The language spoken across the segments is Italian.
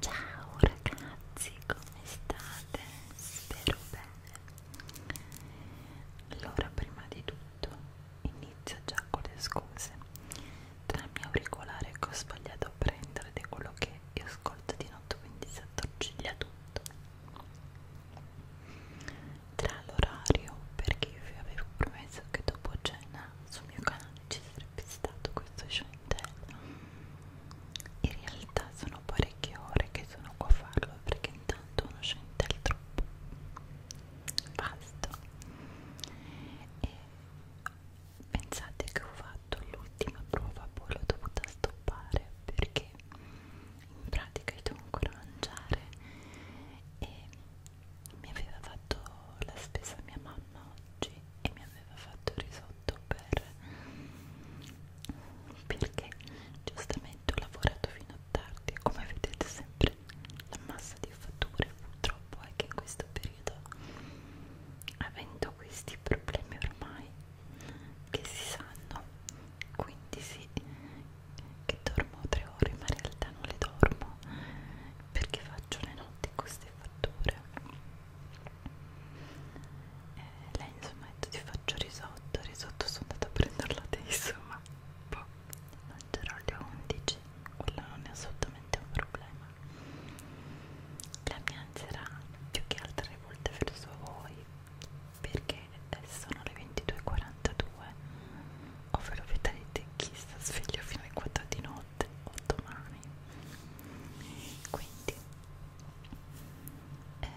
Ciao ragazzi, come state? Spero bene. Allora, prima di tutto, inizio già con le scuse. Tra il mio auricolare che ho sbagliato a prendere di quello che io ascolto di notte, quindi si attorciglia tutto. Tra l'orario, perché io vi avevo promesso che dopo cena sul mio canale ci sarebbe stato questo chantel in realtà sono parecchie ore che sono qua a farlo perché intanto uno chantel troppo basta e pensate che ho fatto l'ultima prova poi l'ho dovuta stoppare perché in pratica io devo ancora mangiare e mi aveva fatto la spesa mia mamma oggi e mi aveva fatto fatto risotto per perché giustamente ho lavorato fino a tardi e come vedete sempre la massa di fatture purtroppo è che in questo periodo avendo questi problemi ormai che si sanno quindi sì che dormo tre ore ma in realtà non le dormo perché faccio le notti queste fatture e eh, lei insomma ha detto ti faccio risotto risotto sono andata a prenderlo adesso ma boh, mangerò alle 11 quello non è assolutamente un problema la mia ansia era più che altre volte verso voi perché sono le 22.42 ovvero vedrete chi sta sveglio fino alle 4 di notte notte o domani quindi eh,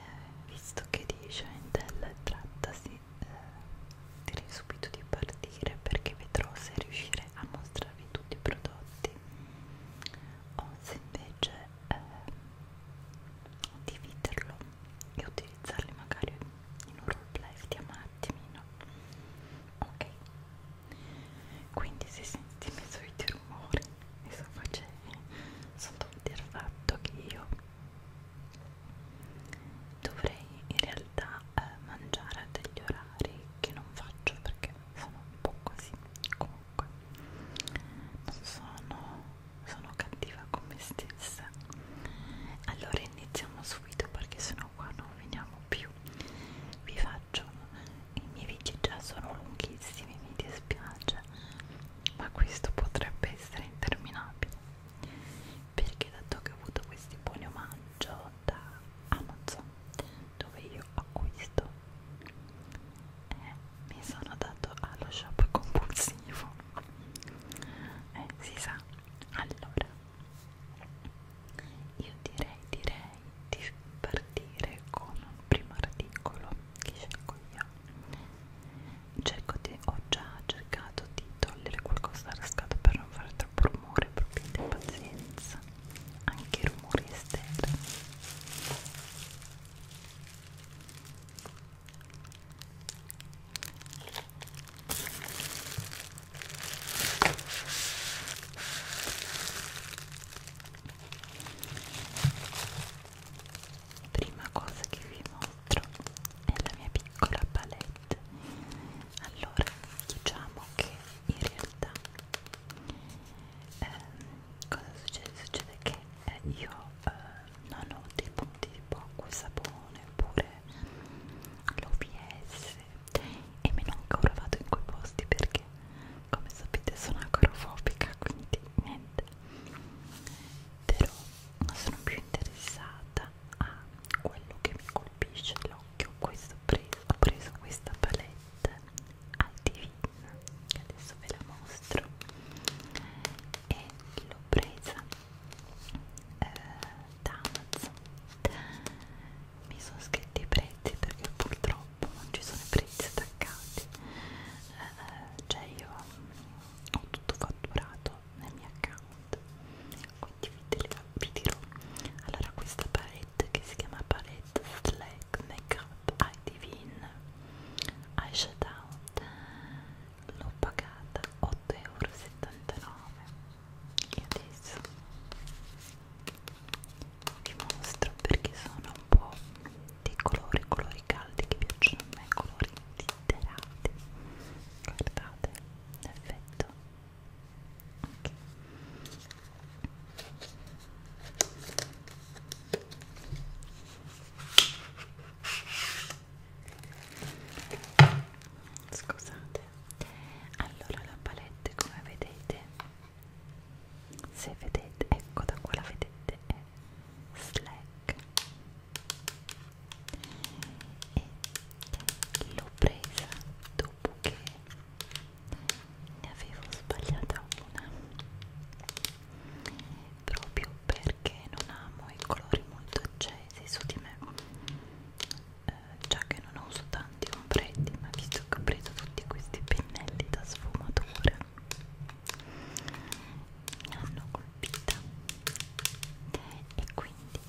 visto che di Shendel trattasi eh, direi subito di partire perché vedrò se riuscire a mostrarvi tutti i prodotti o se invece eh, dividerlo e utilizzarli magari in un roleplay di un attimino ok quindi se senti i soliti rumori mi sto facendo sotto il fatto che io dovrei in realtà eh, mangiare a degli orari che non faccio perché sono un po' così comunque non sono, sono cattiva con me stessa allora iniziamo subito perché sennò qua non veniamo più vi faccio piacciono i miei video già sono lunghissimi mi dispiace ma questo potrebbe essere interminabile perché dato che ho avuto questi buoni omaggio da Amazon dove io acquisto eh, mi sono dato allo shop compulsivo eh, si sa allora io direi direi di partire con un primo articolo che scelgo io cerco di, ho già cercato di togliere qualcosa dalla scatola per non fare troppo rumore proprio di pazienza anche i rumori esterni prima cosa che vi mostro è la mia piccola palette allora diciamo che in realtà ehm, cosa succede? succede che eh, io eh, non ho dei punti tipo acqua e sapone oppure l'OBS e meno ancora vado in quei posti perché come sapete sono acrofobica quindi niente però non sono più interessata a quello che mi colpisce l'occhio questo ho preso, ho preso questa palette al divino che adesso ve la mostro e l'ho presa eh, da Amazon mi sono scritti i prezzi perché purtroppo non ci sono i prezzi attaccati eh, eh, cioè io ho tutto fatturato nel mio account quindi vi, dirò, vi dirò allora questa palette che si chiama palette slack makeup eye divine eye shadow l'ho pagata 8,79 euro e adesso vi mostro perché sono un po' dei colori, colori caldi che piacciono a me, colori glitterati guardate l'effetto okay. Scusate, allora la palette come vedete se vedete ecco da qua la vedete è slack e l'ho presa dopo che ne avevo sbagliata una proprio perché non amo i colori molto accesi su di me eh, già che non uso tanto tanti ombretti ma visto che ho preso tutti questi pennelli da sfumatura mi hanno colpita e quindi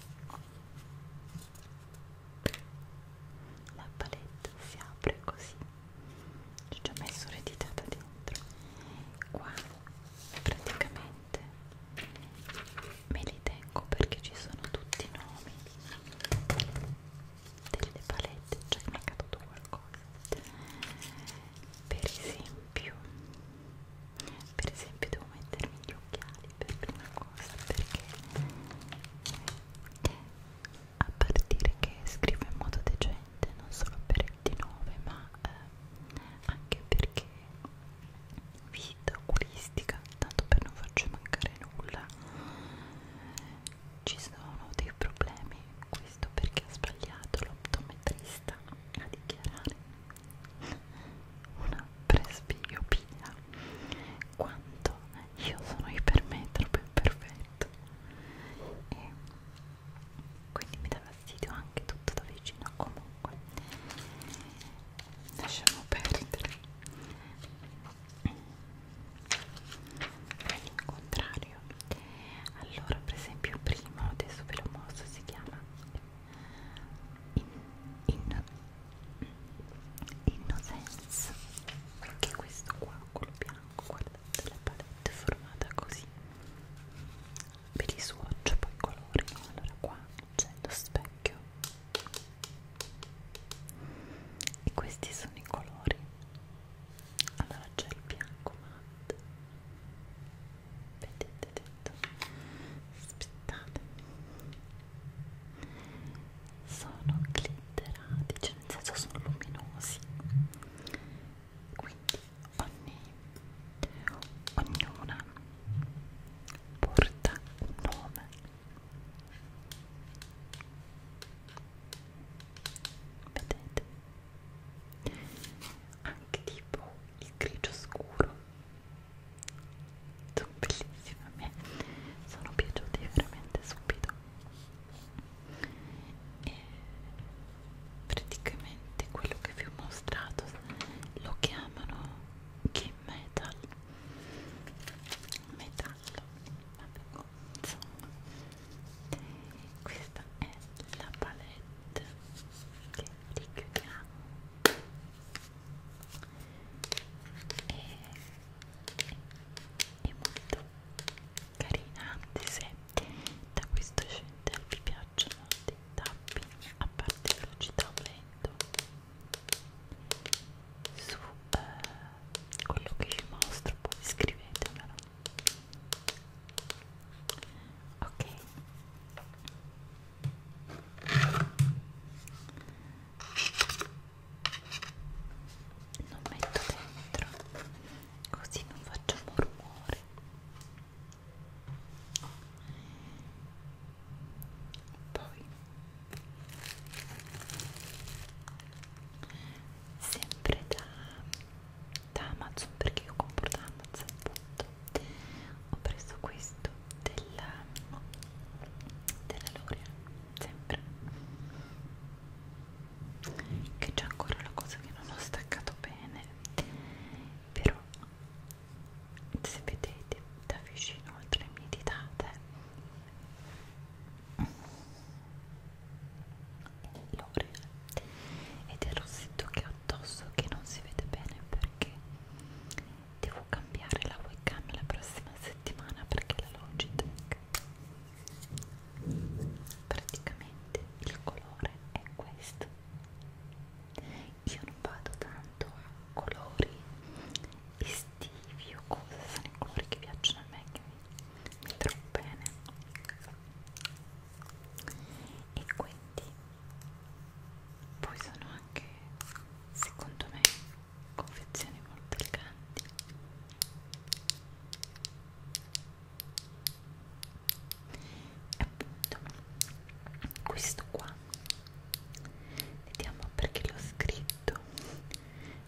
la palette si apre così ci ho già messo l'editata dentro qua praticamente me li tengo perché ci sono tutti i nomi delle palette cioè mi è caduto qualcosa per esempio per esempio devo mettermi gli occhiali per prima cosa perché a partire che scrivo in modo decente non solo per il D9 ma eh, anche perché vita oculistica tanto per non farci mancare nulla ci sono dei problemi questo perché ha sbagliato l'optometrista a dichiarare una presbiopia quanto io sono ipermetrope perfetto e quindi mi dà fastidio anche tutto da vicino comunque lasciamo perdere contrario allora per esempio primo adesso ve lo mostro si chiama in, in, innocence che è questo qua quello bianco guardate la palette è formata così per i swatch poi colori allora qua c'è lo specchio e questi sono i colori allora c'è il bianco matte vedete detto aspettate sono glitterati cioè nel senso sono luminosi quindi ogni ognuna porta un nome vedete anche tipo il grigio scuro sono bellissime a me sono piaciuti veramente subito e praticamente quello che vi ho mostrato lo chiamano game metal metallo vabbè insomma questa è la palette che richiudiamo e è, è molto carina anche se da questo scendere vi piacciono dei tapping a parte velocità o lento su eh, quello che vi mostro poi scrivetemelo ok non metto dentro così non faccio rumore poi sempre da, da Amazon perché io compro da Amazon appunto ho preso questo della, della L'Oreal sempre che c'è ancora la cosa che non ho staccato bene però se vedete da vicino oltre le mie ditate l'oreale ed è il rossetto che ho addosso che non si vede bene perché devo cambiare la webcam la prossima settimana perché la Logitech praticamente il colore è questo io non vado tanto a colori estivi o cose sono i colori che piacciono a me che mi mi trovo bene e quindi poi sono anche secondo me confezioni molto eleganti e appunto questo qua vediamo perché l'ho scritto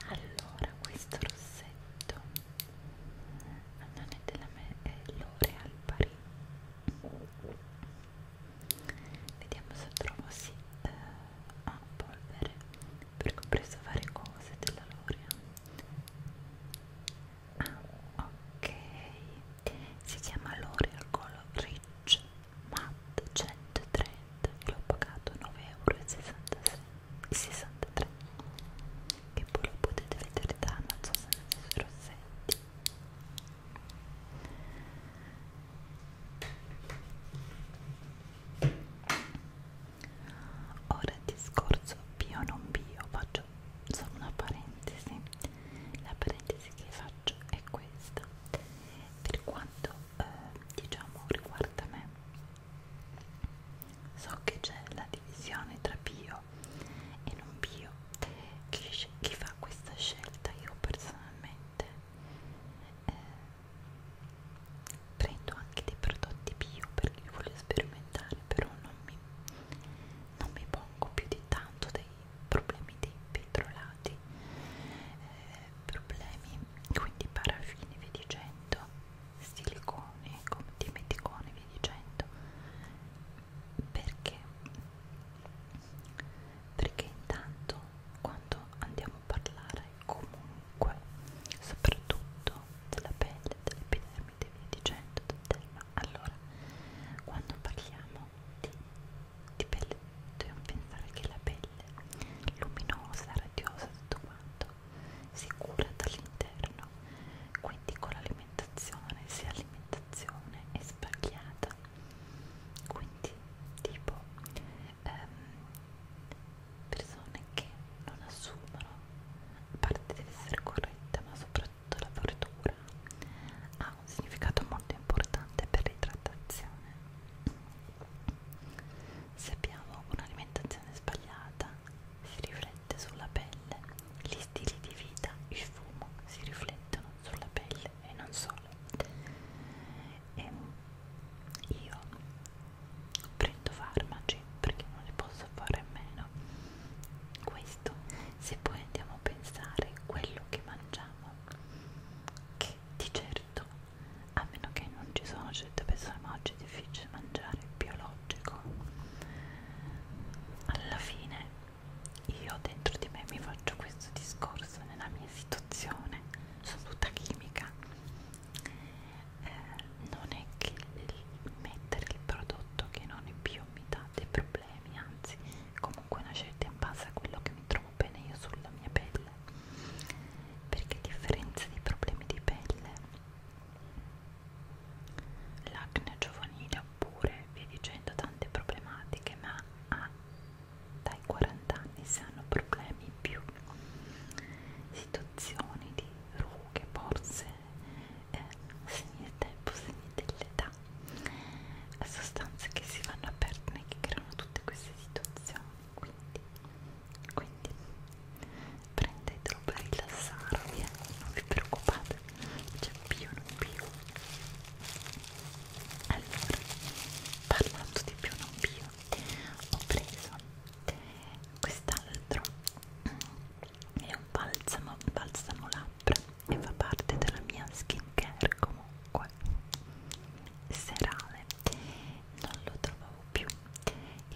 allora questo rossetto non è della me, è eh, L'Oreal Paris vediamo se trovo sì eh, a polvere perché ho preso varie cose della L'Oreal ah ok si chiama L'Oreal Color Rich Matte 130 l'ho pagato 9,66 euro 63 che poi lo potete vedere da Amazon senza rossetti ora il discorso bio non bio faccio solo una parentesi la parentesi che faccio è questa per quanto eh, diciamo riguarda me So che c'è la divisione tra bio e non bio. Chi, chi fa questa scelta io personalmente eh, prendo anche dei prodotti bio perché li voglio sperimentare, però non mi, non mi pongo più di tanto dei problemi dei petrolati, eh, problemi quindi paraffini, via dicendo silicone, come dimeticone, via dicendo perché? perché intanto quando andiamo a parlare comunque soprattutto della pelle, dell'epidermide, via dicendo, del derma allora, quando parliamo di, di pelle dobbiamo pensare che la pelle luminosa, radiosa, tutto quanto sicura dall'interno, quindi con l'alimentazione, se l'alimentazione è sbagliata, quindi tipo ehm, persone che non assumono, a parte deve essere corretta, ma soprattutto la verdura ha un significato molto importante per l'idratazione se abbiamo un'alimentazione sbagliata, si riflette sulla pelle. Gli stili di vita, il fumo, si riflettono sulla pelle e non solo. E io prendo farmaci perché non li posso fare a meno. Questo, se poi andiamo a pensare quello che mangiamo, che di certo, a meno che non ci sono certe persone, ma oggi è difficile mangiare biologico logico alla fine io dentro di me mi faccio questo discorso nella mia situazione sono tutta chimica eh, non è che il mettere il prodotto che non è più mi dà dei problemi anzi comunque una scelta in base a quello che mi trovo bene io sulla mia pelle perché a differenza dei problemi di pelle l'acne giovanile oppure via dicendo tante problematiche ma ah, dai 40 anni si hanno problemi più situazioni di rughe, borse eh, segni del tempo, segni dell'età sostanze che si vanno a perdere che creano tutte queste situazioni quindi quindi prendetelo per rilassarvi eh? non vi preoccupate c'è più non più allora parlando di più non più ho preso quest'altro è un balsamo balsamo labbra e fa parte della mia skin care comunque serale non lo trovo trovavo più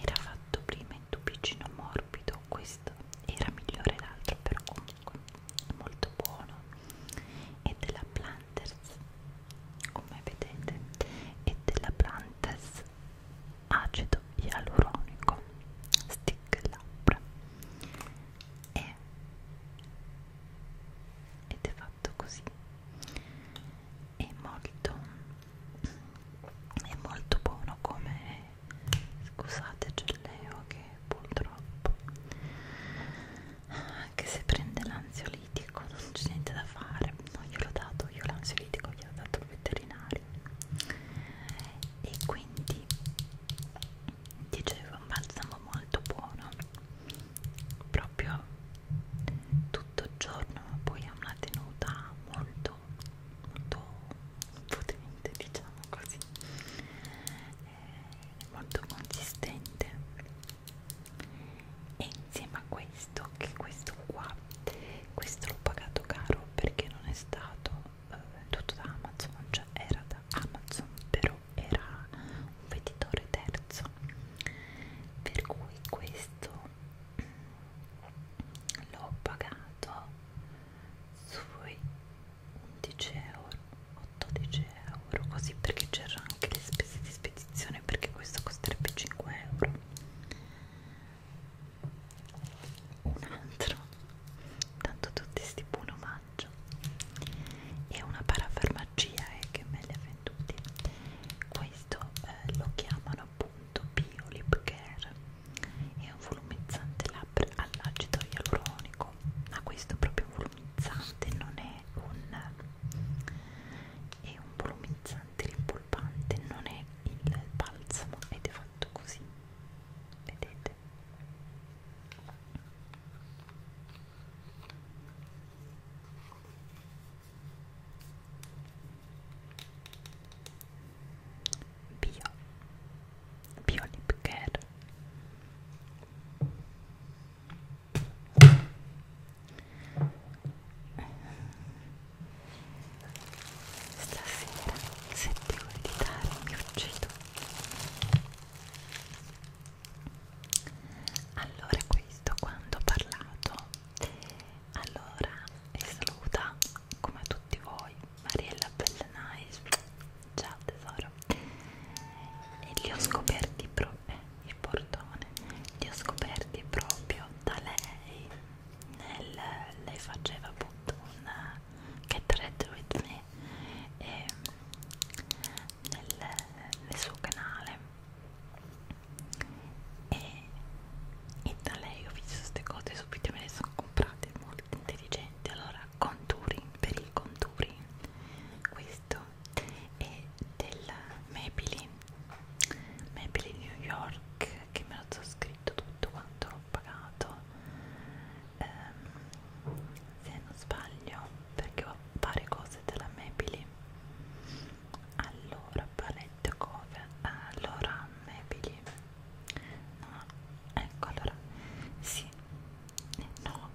era fatto prima in tubicino morbido questo era migliore l'altro però comunque molto buono e della Planters come vedete e della Planters acido ialuronico stick labbra e ed è fatto così è molto è molto buono come scusate geleo che purtroppo anche se prende l'ansiolitico non c'è niente da fare no, io l'ho dato io l'ansiolitico gliel'ho dato il veterinario e quindi dicevo un balsamo molto buono proprio tutto il giorno ma poi ha una tenuta molto molto potente diciamo così è eh, molto consistente e insieme a questo che questo qua questo l'ho pagato caro perché non è stato eh, tutto da Amazon cioè era da Amazon però era un venditore terzo per cui questo l'ho pagato sui 11 euro 12 euro così perché c'erano anche le spese di spedizione perché questo costerebbe 5 euro un altro tanto tutti sti buon omaggio e una parafarmacia eh, che me li ha venduti questo eh, lo chiamano appunto bio lip care è un volumizzante labbra all'acido ialuronico ma questo è proprio un volumizzante non è un è un volumizzante rimpolpante non è il balsamo ed è fatto così vedete bio bio lip care stasera sette ore di tardi mi uccido allora questo quando ho parlato allora vi saluta come tutti voi Mariella Bellenais ciao tesoro e li ho scoperti proprio eh, il portone li ho scoperti proprio da lei nel, lei faceva appunto un get ready with me e nel, nel suo canale e, e da lei ho visto queste cose subito me le sono comprate molto intelligenti allora contouring per il contouring questo è del Maybelline Maybelline New York che me lo so scritto tutto quanto l'ho pagato ehm, se non sbaglio perché ho varie cose della Maybelline allora palette cover allora Maybelline no, ah, ecco allora sì no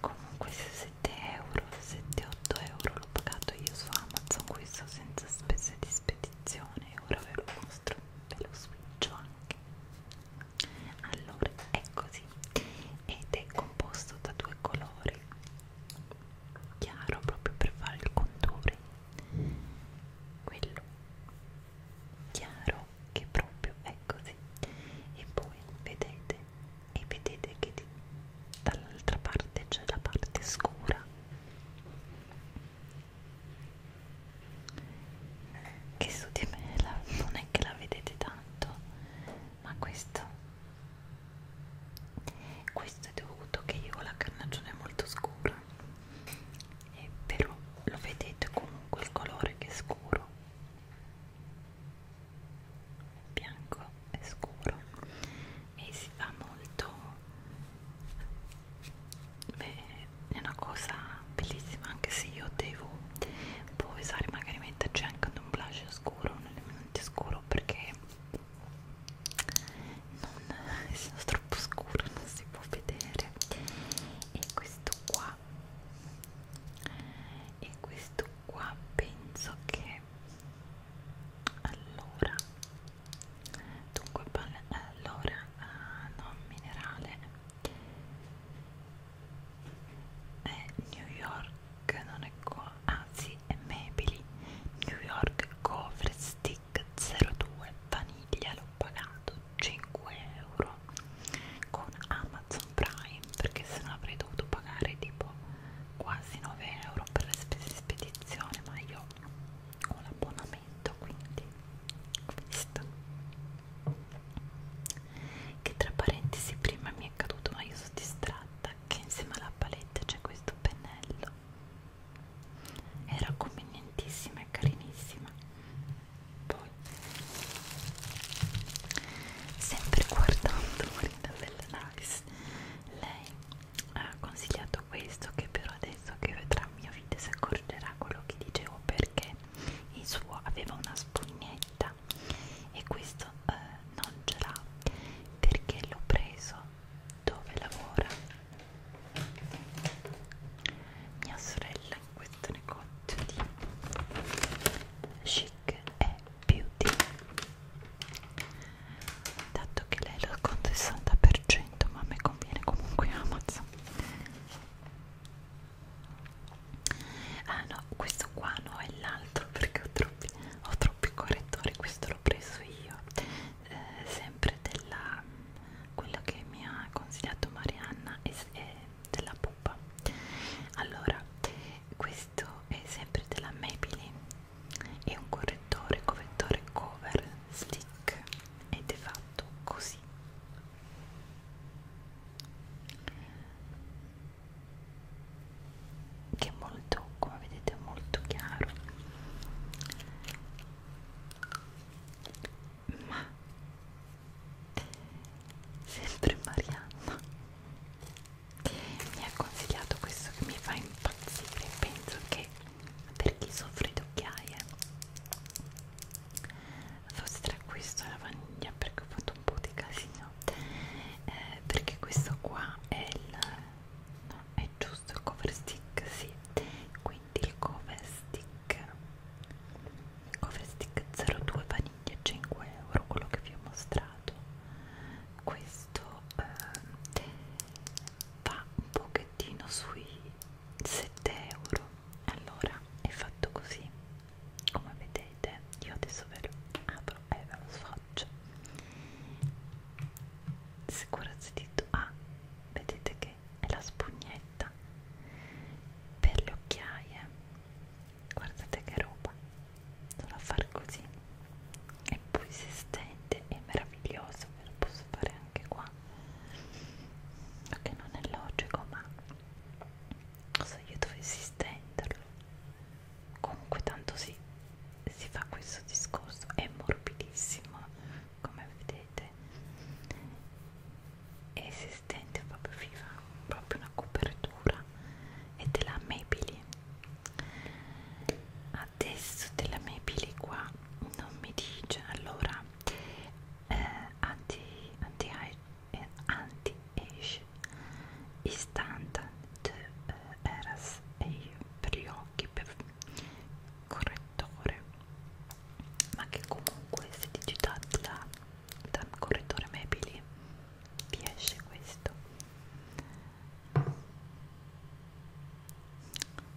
comunque 7 euro 7 8 euro l'ho pagato io su amazon questo senza spese di spedizione e ora ve lo mostro ve lo switcho anche allora è così ed è composto da due colori chiaro proprio per fare il contour quello chiaro che proprio è così e poi vedete e vedete che di, dall'altra parte c'è la parte scura che su di me la, non è che la vedete tanto ma questo questo è dovuto che io ho la carnagione molto scura eh, però lo vedete comunque il colore che è scuro bianco e scuro e si fa molto beh è una cosa bellissima anche se io devo poi usare magari metterci anche un blush scuro un elemento scuro perché non, essendo troppo scuro non si può vedere e questo qua e questo qua penso che allora dunque allora uh, ah, non minerale è New York non è qua ah sì è Maybelline New York Cover Stick 02 vaniglia l'ho pagato 5 euro con Amazon Prime perché se no avrei dovuto pagare tipo quasi 9 euro per le spese di spedizione ma io ho l'abbonamento quindi questo che tra parentesi prima mi è caduto ma io sono distratta che insieme alla palette c'è questo pennello era convenientissima e carinissima poi sempre guardando Marina Bella Lice lei ha consigliato questo che però adesso che vedrà il mio video si accorgerà quello che dicevo perché il suo aveva una spugnetta e questo eh, non ce l'ha perché l'ho preso dove lavora mia sorella in questo negozio di chic e beauty dato che lei lo conta il 60% ma a me conviene comunque Amazon ah no questo qua no è l'altro perché ho troppi, ho troppi correttori questo l'ho preso io eh, sempre della quella che mi ha consigliato Marianna è, è della pupa allora questo è sempre della Maybelline è un correttore correttore cover stick ed è fatto così che è molto come vedete molto chiaro ma sempre Marianna mi ha consigliato questo che mi fa impazzire penso che per chi soffre di occhiaie forse tra questo e la vaniglia perché ho fatto un po' di casino eh, perché questo qua è il no, è giusto il cover stick sì qui quindi il cover stick cover stick 02 vaniglia 5 euro quello che vi ho mostrato questo eh, va un pochettino sui 7 euro allora è fatto così come vedete io adesso ve lo apro e ve lo sfogcio sicurezza di ah vedete che e la spugnetta per le occhiaie guardate che roba solo a far così e poi si stende è meraviglioso ve lo posso fare anche qua so che non è logico ma cosa io dovessi stenderlo comunque tanto si, si fa questo discorso è morbidissimo come vedete è esistente proprio viva proprio una copertura è della Maybelline adesso della Maybelline qua non mi dice allora eh, anti anti eh, anti age istante de, eh, eras e per gli occhi di correttore ma che comunque se digitate da, da correttore Maybelline vi esce questo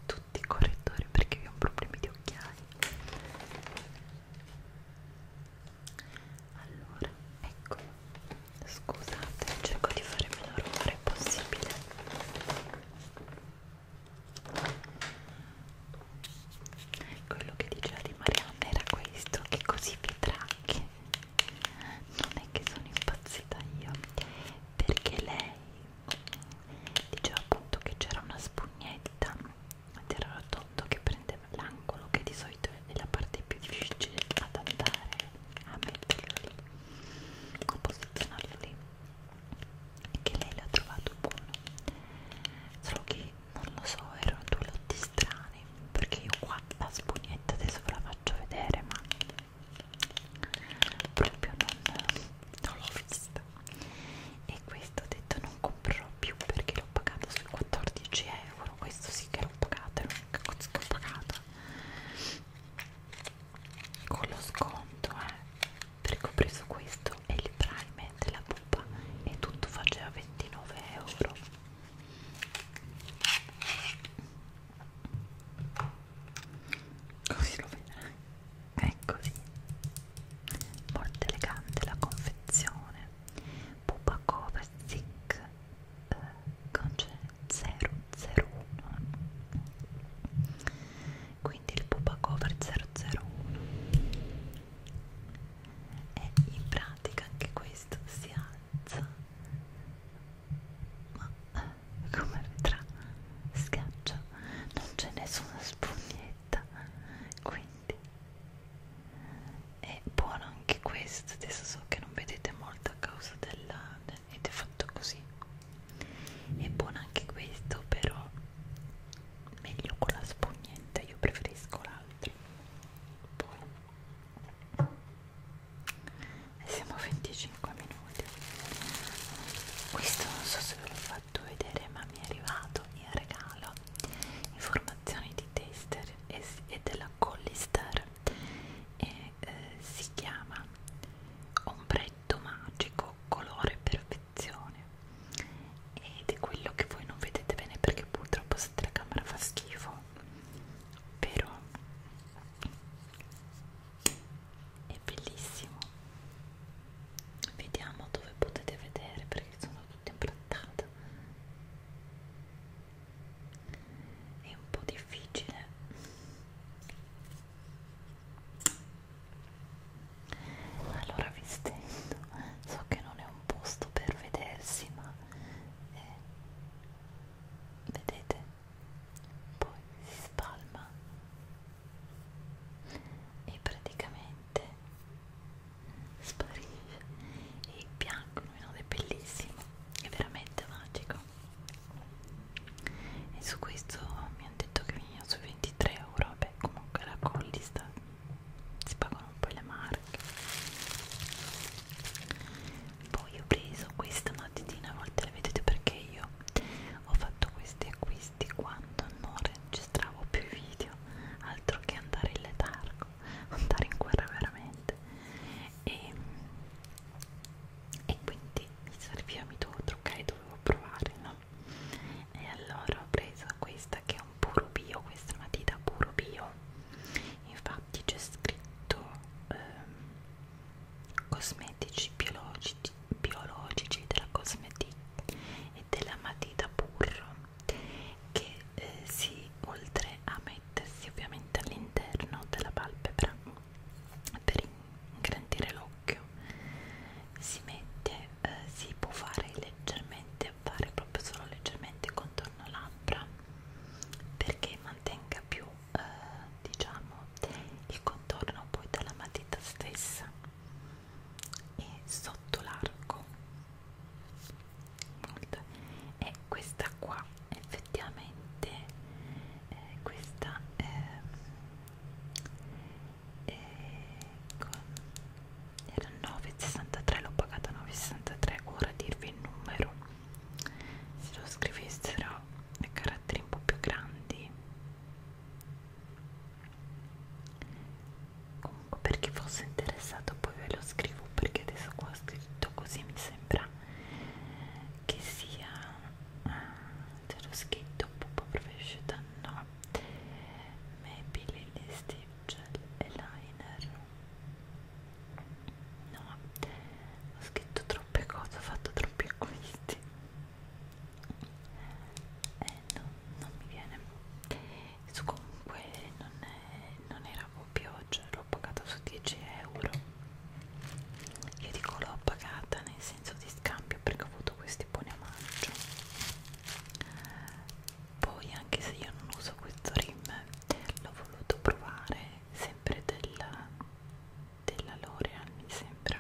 tutti i correttori perché io ho problemi di occhiali allora ecco scusate cerco di fare meno rumore possibile quello che diceva di Marianna era questo che così vedrà che non è che sono impazzita io perché lei diceva appunto che c'era una spugnetta ed era rotondo che prendeva l'angolo che di solito è la parte più difficile ad andare a metterlo lì a posizionarlo lì e che lei l'ha trovato buono solo che non lo so erano due lotti strani perché io qua la spugnetta adesso ve la faccio vedere ma proprio non, non l'ho vista e questo ho detto non comprerò più perché l'ho pagato sui 14 euro questo sì che l'ho pagato l'ho pagato con lo sconto eh perché ho preso questo e il prime della pupa e tutto faceva 29 euro così lo vedrai è così ecco molto elegante la confezione pupa cover thick eh, con 001 quindi il pupa cover 001 e in pratica anche questo si alza ma come vedrà schiaccia non c'è nessuna spugnetta quindi è buono anche questo adesso so che non vedete molto a causa della ed è fatto così è buono anche questo però meglio con la spugnetta, io preferisco l'altro. Poi e siamo a 25 minuti. Questo non so se ve l'ho fatto vedere, ma mi è arrivato in regalo informazioni di tester e, e della Collister e eh, si chiama ombretto effetto magico, colore perfezione ed è quello che voi non vedete bene perché purtroppo se la camera fa schifo però è bellissimo vediamo dove potete vedere perché sono tutto implattato è un po' difficile allora vi stendo so che non è un posto per vedersi ma eh, vedete poi si spalma e praticamente sparisce e il bianco illuminato è bellissimo è veramente magico e su questo mi hanno detto che veniva su 23 euro beh comunque la collista si pagano un po' le marche poi ho preso questa notitina a volte la vedete perché io ho fatto questi acquisti quando non registravo più i video altro che andare in letargo andare in guerra veramente e, e quindi mi serviva mi dovevo truccare dovevo provare buono e allora ho preso questa che è un puro bio questa è una matita puro bio infatti c'è scritto ehm, cosmetici biologici, biologici della cosmetic e della matita burro che eh, si oltre a mettersi ovviamente all'interno della palpebra per ingrandire l'occhio si mette, eh, si può fare leggermente, fare proprio solo leggermente contorno labbra perché mantenga più, eh, diciamo, il contorno poi dalla matita stessa e sotto l'arco Molto. e questa qua effettivamente eh, questa eh, e con... era 9,63 l'ho pagata 9,63 ora dirvi il numero se lo scrivessero a caratteri un po' più grandi comunque per chi fosse interessato poi ve lo scrivo perché adesso qua ho scritto così mi sembra che sia ah, c'è lo scritto Pupo Professional no Maybelline Steve Gel e Liner no ho scritto troppe cose ho fatto troppi acquisti eh no non mi viene su comunque non, è, non era proprio cioè l'ho pagata su 10 euro io dico l'ho pagata nel senso di scambio perché ho avuto questi buoni a maggio poi anche se io non uso questo rim l'ho voluto provare sempre della, della L'Oreal mi sembra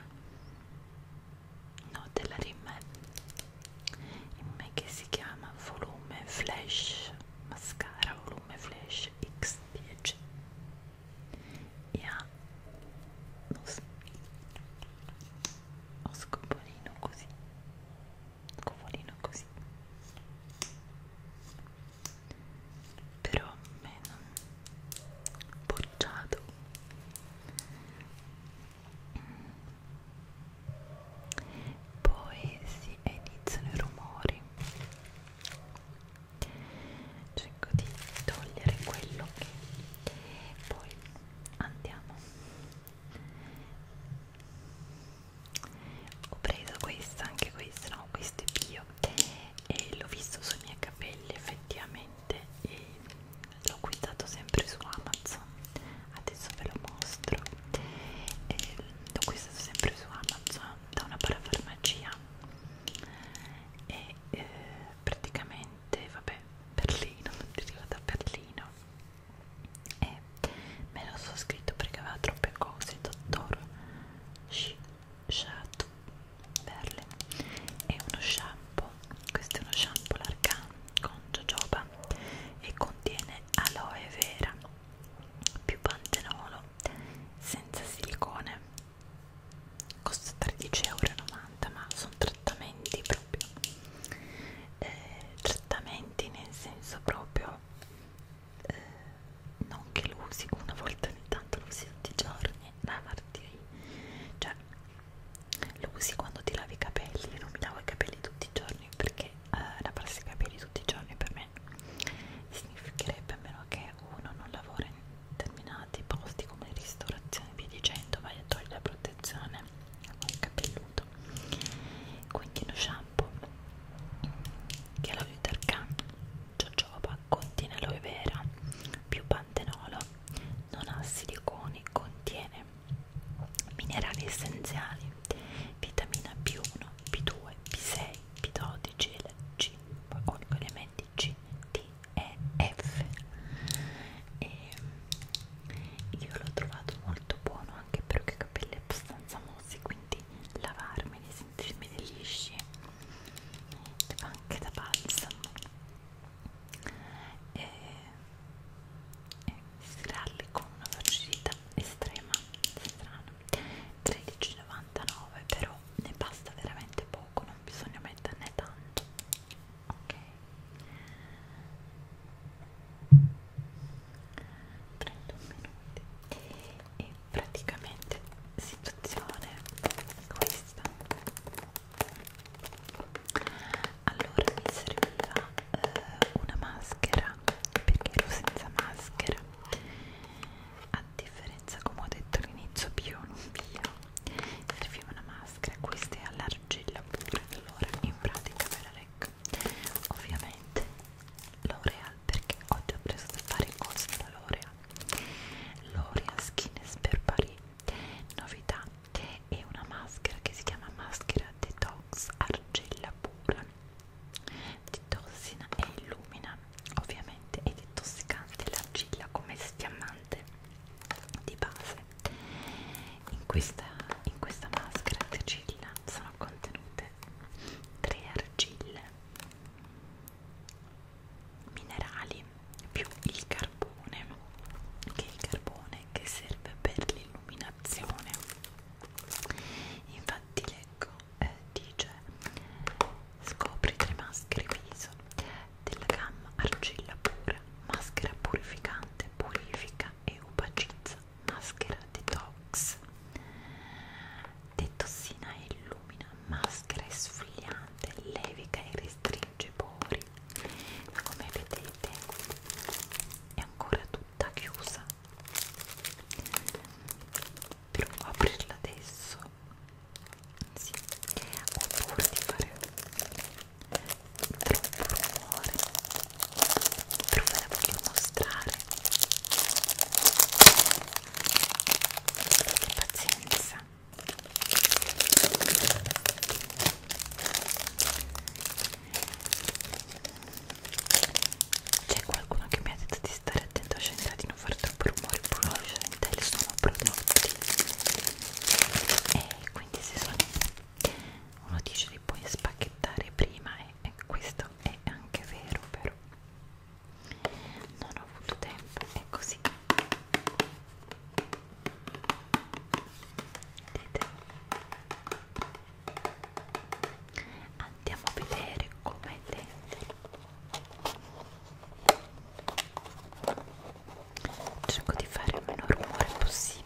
no della rim che si chiama volume flash mascara volume flash x10 e ha non so, o scopolino così scopolino così però meno bocciato poi si iniziano i rumori cerco di togliere quello che poi andiamo ho preso questa anche questa no questo è bio e l'ho visto sui miei capelli effettivamente e l'ho acquistato sempre su amazon adesso ve lo mostro l'ho acquistato sempre su amazon da una parafarmacia e eh, praticamente vabbè Berlino deriva da Berlino e me lo so scritto perché aveva troppe cose dottor Shato Berle e uno shampoo questo è uno shampoo l'argan con jojoba e contiene aloe vera più pantenolo senza silicone costa 13,90€ ma sono 3 trattamenti proprio eh, trattamenti nel senso proprio eh, non che lo usi una volta ogni tanto lo usi tutti i giorni lavarti cioè lo usi quando ti lavi i capelli io non mi lavo i capelli tutti i giorni perché eh, lavarsi i capelli tutti i giorni per me significherebbe a meno che uno non lavora in determinati posti come ristorazione via dicendo vai a togliere la protezione il capelluto quindi uno shampoo che è l'olio d'argan jojoba contiene aloe vera più pantenolo non ha siliconi contiene minerali essenziali vitamina B1 B2 B6 B12 e C con elementi C D e F e io l'ho trovato molto buono anche perché ho i capelli abbastanza mossi quindi lavarmeli, sentirmi lisci anche da balsamo e, e stirarli con una velocità estrema strano 13,99 però ne basta veramente poco non bisogna metterne tanto ok 31 minuti e praticamente situazione questa allora mi serviva eh, una maschera perché ero senza maschera a differenza come ho detto all'inizio bio non bio serviva una maschera questa è alla l'argilla pure allora in pratica me la recco ovviamente l'Oreal perché oggi ho preso da fare cose da l'Oreal l'Oreal Skin per Paris novità è una maschera che si chiama maschera detox argilla pura detossina e illumina ovviamente è detossicante l'argilla come sfiammante di base in questa, in questa maschera di argilla sono contenute tre argille minerali più il carbone che è il carbone che serve per l'illuminazione infatti leggo eh, dice scopri tre maschere viso della gamma argilla pura maschera purificante purifica e uva cizza, maschera detox detossina e illumina, maschera esfoliante, levica e restringe i pori come vedete è ancora tutta chiusa però aprirla adesso sì. oppure di fare troppo rumore però ve la voglio mostrare abbiate pazienza c'è qualcuno che mi ha detto di stare attento a Scendera di non fare troppo rumore però Scendera sono prodotti e quindi si sono uno dice li puoi spacchettare prima e, e questo è anche vero però non ho avuto tempo è così vedete andiamo a vedere com'è dentro cerco di fare il minor rumore possibile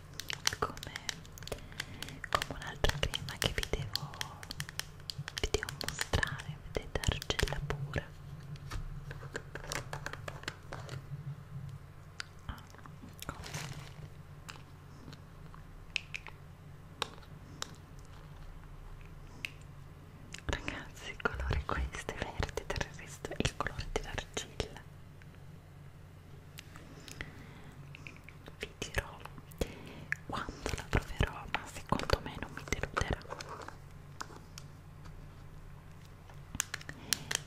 come, come un'altra crema che vi devo, vi devo mostrare vedete argilla pura ah, ecco. ragazzi il colore questo è verde del resto è il colore dell'argilla vi dirò quando la proverò ma secondo me non mi deluderà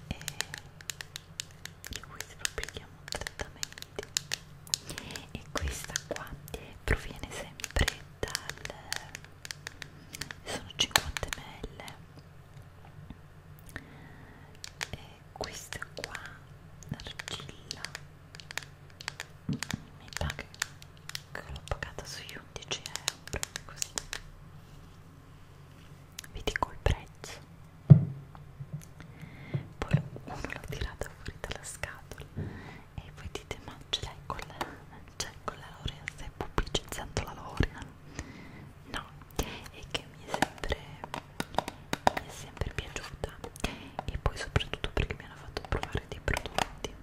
e io questi lo prendiamo direttamente e questa qua proviene sempre dal sono 50 ml e questa qua l'argilla mi sa che l'ho pagata sui 11 euro così vi dico il prezzo poi uno l'ho tirata fuori dalla scatola e voi dite ma ce l'hai con la, con la laurea stai pubblicizzando la laurea no e che mi è sempre mi è sempre piaciuta e poi soprattutto perché mi hanno fatto provare dei prodotti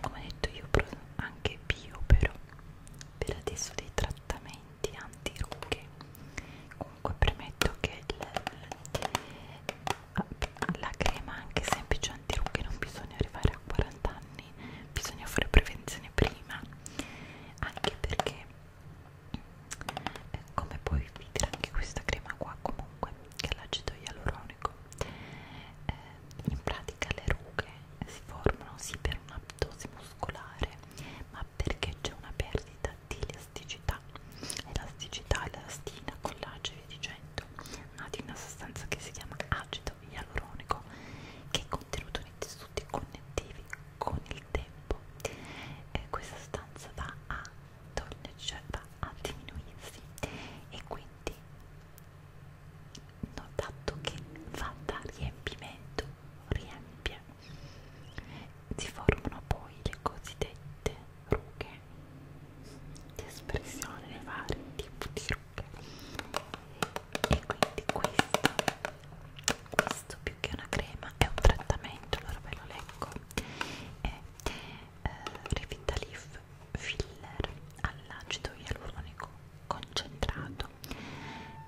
come detto io provo anche bio però per adesso dei trattamenti antirughe comunque premetto che la, la crema anche semplice antirughe non bisogna arrivare a 40 anni bisogna fare prevenzione prima anche perché come puoi vedere anche questa crema qua comunque che è l'acido ialuronico eh, in pratica le rughe si formano sì per un'aptosi muscolare ma perché c'è una perdita di elasticità elasticità, elastina, collage e via dicendo ma di una sostanza che si chiama acido ialuronico che è contenuto nei tessuti tessuti connettivi con il tempo eh, questa stanza va a togliere, cioè va a diminuirsi e quindi notato che va da riempimento, riempie si formano poi le cosiddette rughe di espressione dei vari tipi di rughe e quindi questo questo più che una crema è un trattamento, allora ve lo leggo è eh, Revitalif Filler all'acido ialuronico concentrato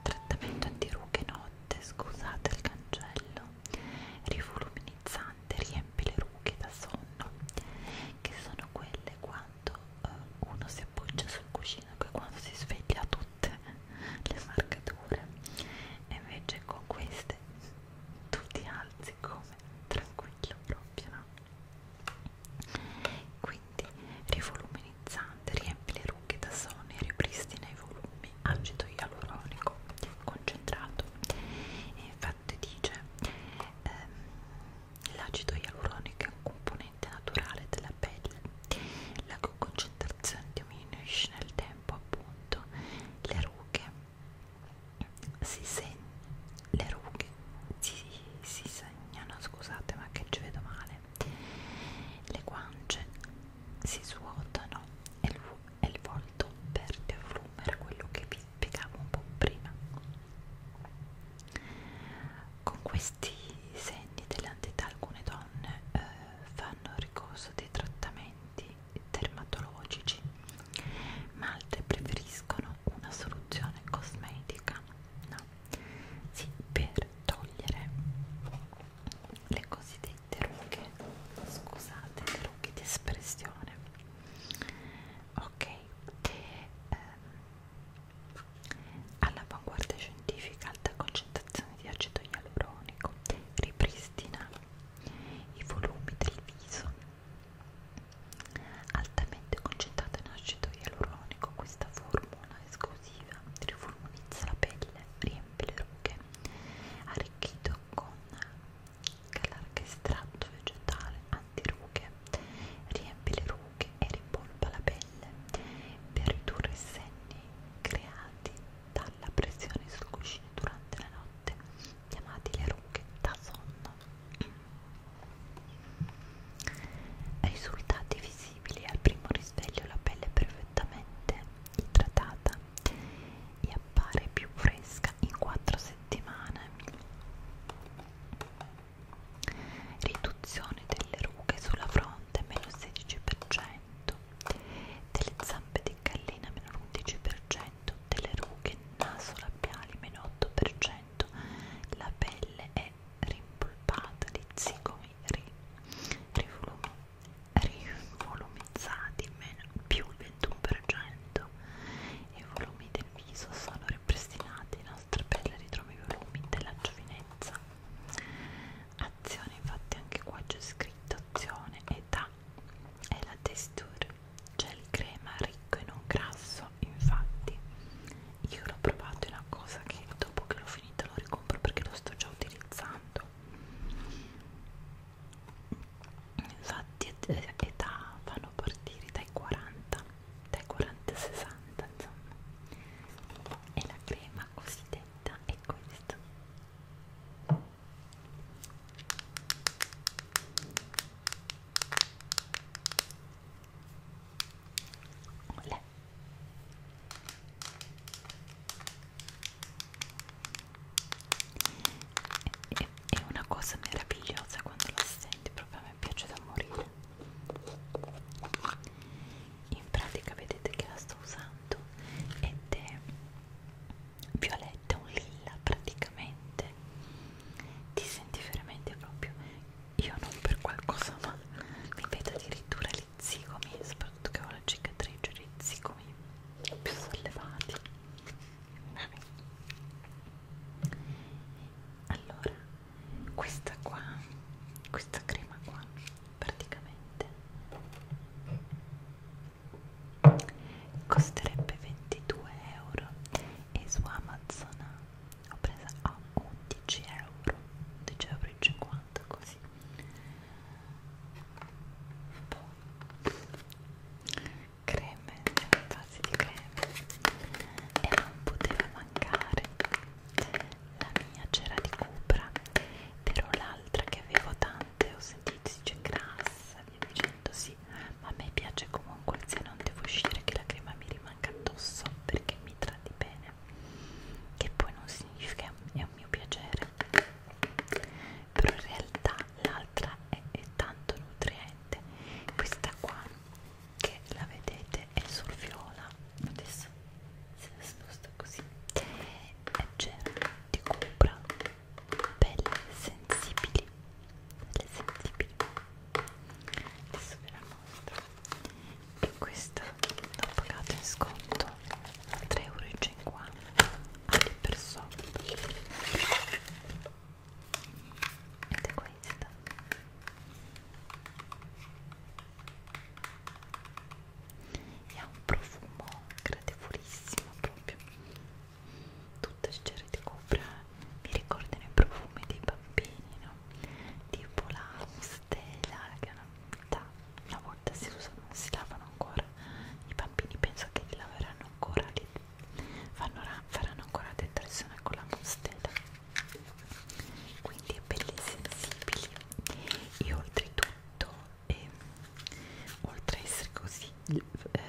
trattamento antirughe notte, scusate il cancello rivoluminizzante, riempie le rughe da sonno che sono quelle quando eh, uno si appoggia sul cuscino e quando si sveglia tutto tutte le marcature e invece con queste tu ti alzi come tranquillo proprio no? quindi rivoluminizzante riempi le rughe da sonno e ripristina i volumi acido ialuronico concentrato e infatti dice ehm, l'acido ialuronico è un componente naturale della pelle la cui concentrazione Schwartz diminuisce nel tempo appunto le rughe si, seg le rughe si, si segnano scusate ma che ci vedo male le guance si svuotano e il, e il volto perde volume era quello che vi spiegavo un po' prima con questi segni dell'antietà alcune donne eh, fanno ricorso dei trattamenti dermatologici, ma altre preferiscono una soluzione cosmetica no. sì, per togliere le cosiddette rughe, scusate, le rughe di espressione. Ok, ehm, all'avanguardia scientifica alta concentrazione applicazione di acido ialuronico ripristina i volumi del viso altamente concentrata in acido ialuronico questa formula esclusiva riformulizza la pelle riempie le rughe arricchito con calarche estratto vegetale antirughe riempie le rughe e rimpolpa la pelle per ridurre i senni creati dalla pressione sul cuscino durante la notte, chiamati le rughe da sonno. Risultati visibili al primo risveglio la pelle è perfettamente idratata e appare più fresca in 4 settimane. Riduzione delle rughe sulla fronte meno 16%, delle zampe di gallina meno 11%, delle rughe naso labiali meno 8%, la pelle è rimpolpata di zigomi ri, rivolumizzati rivolumi, più il 21% e i volumi del viso sono ripristinati, la nostra pelle ritrova i volumi della giovinezza azione infatti anche qua c'è scritto azione età è la texture gel crema ricco e non grasso infatti io l'ho provato è una cosa che dopo che l'ho finita lo ricompro perché lo sto già utilizzando infatti eh, età fanno partire dai 40 dai 40 ai 60 insomma e la crema cosiddetta è questa Olè. È, è una cosa meravigliosa quando la senti, proprio a me piace da morire. In pratica vedete che la sto usando ed è violetta, un lilla praticamente ti senti veramente proprio io non per qualcosa ma mi vedo addirittura gli zigomi soprattutto che ho la cicatrice gli zigomi più sollevati allora questa qua questa crema qua praticamente costerebbe 22 euro e su Amazon ho presa a 11 euro 11,50 euro così poi creme, fasi di creme e non poteva mancare la mia c'era di cupra però l'altra che avevo tanto pesante, ho sentito si dice grassa, via dicendo sì, ma a me piace comunque se non devo uscire che la crema mi rimanga addosso perché mi tratti bene, che poi non significa è un mio piacere, però in realtà l'altra è, è tanto nutriente, questa qua che la vedete è sul viola, adesso se la sposto così è leggera, ti copra pelle sensibili pelle sensibili adesso ve la mostro e questo l'ho pagato in sconto 3,50 euro anche per sotto ed è questa e ha un profumo gradevolissimo proprio tutto il cero di copra mi ricordano i profumi dei bambini no? tipo la stella che una, da, una volta si usano, non si lavano ancora i bambini penso che li laveranno ancora li fanno, faranno ancora detrazione con la mustela quindi è belli sensibili e oltretutto e oltre a essere così eh,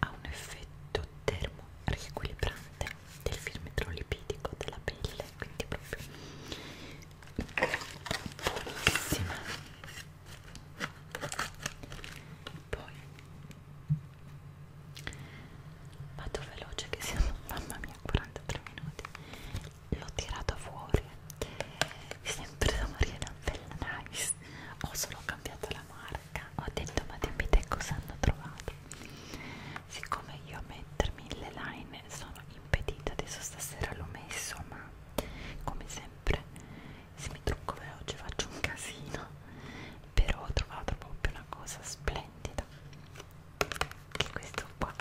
ha un effetto termo riequilibrante del filtro lipidico della pelle quindi proprio buonissima poi vado veloce che siamo mamma mia 43 minuti l'ho tirata fuori sempre da Mariana Bella Nice ho solo cambiato la marca ho detto ma dimmi te cosa hanno trovato siccome io a mettermi le line sono impedita adesso stasera l'ho messo ma come sempre se mi trucco veloce faccio un casino però ho trovato proprio una cosa splendida che questo qua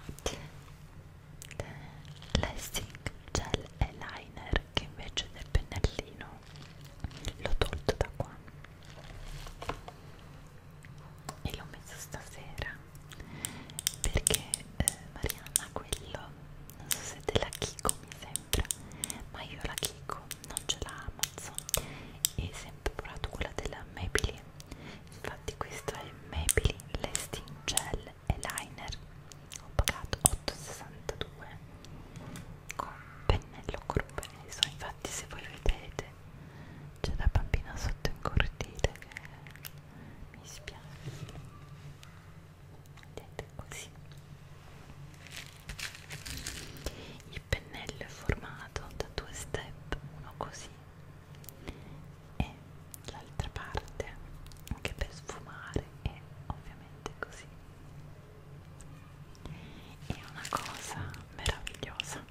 l'essing gel e liner che invece del pennellino l'ho tolto da qua e l'ho messo stasera perché eh, Mariana quello non so se te la Kiko mi sembra ma io la Kiko non ce l'ha Amazon e sempre provato quella della Maybelline infatti questo è Maybelline Lesting Gel eyeliner ho pagato 8,62 con pennello curveniso infatti se voi vedete c'è la bambina sotto in cortile che mi spiace vedete così il pennello è formato da due step uno così e l'altra parte anche per sfumare e ovviamente così è una cosa meravigliosa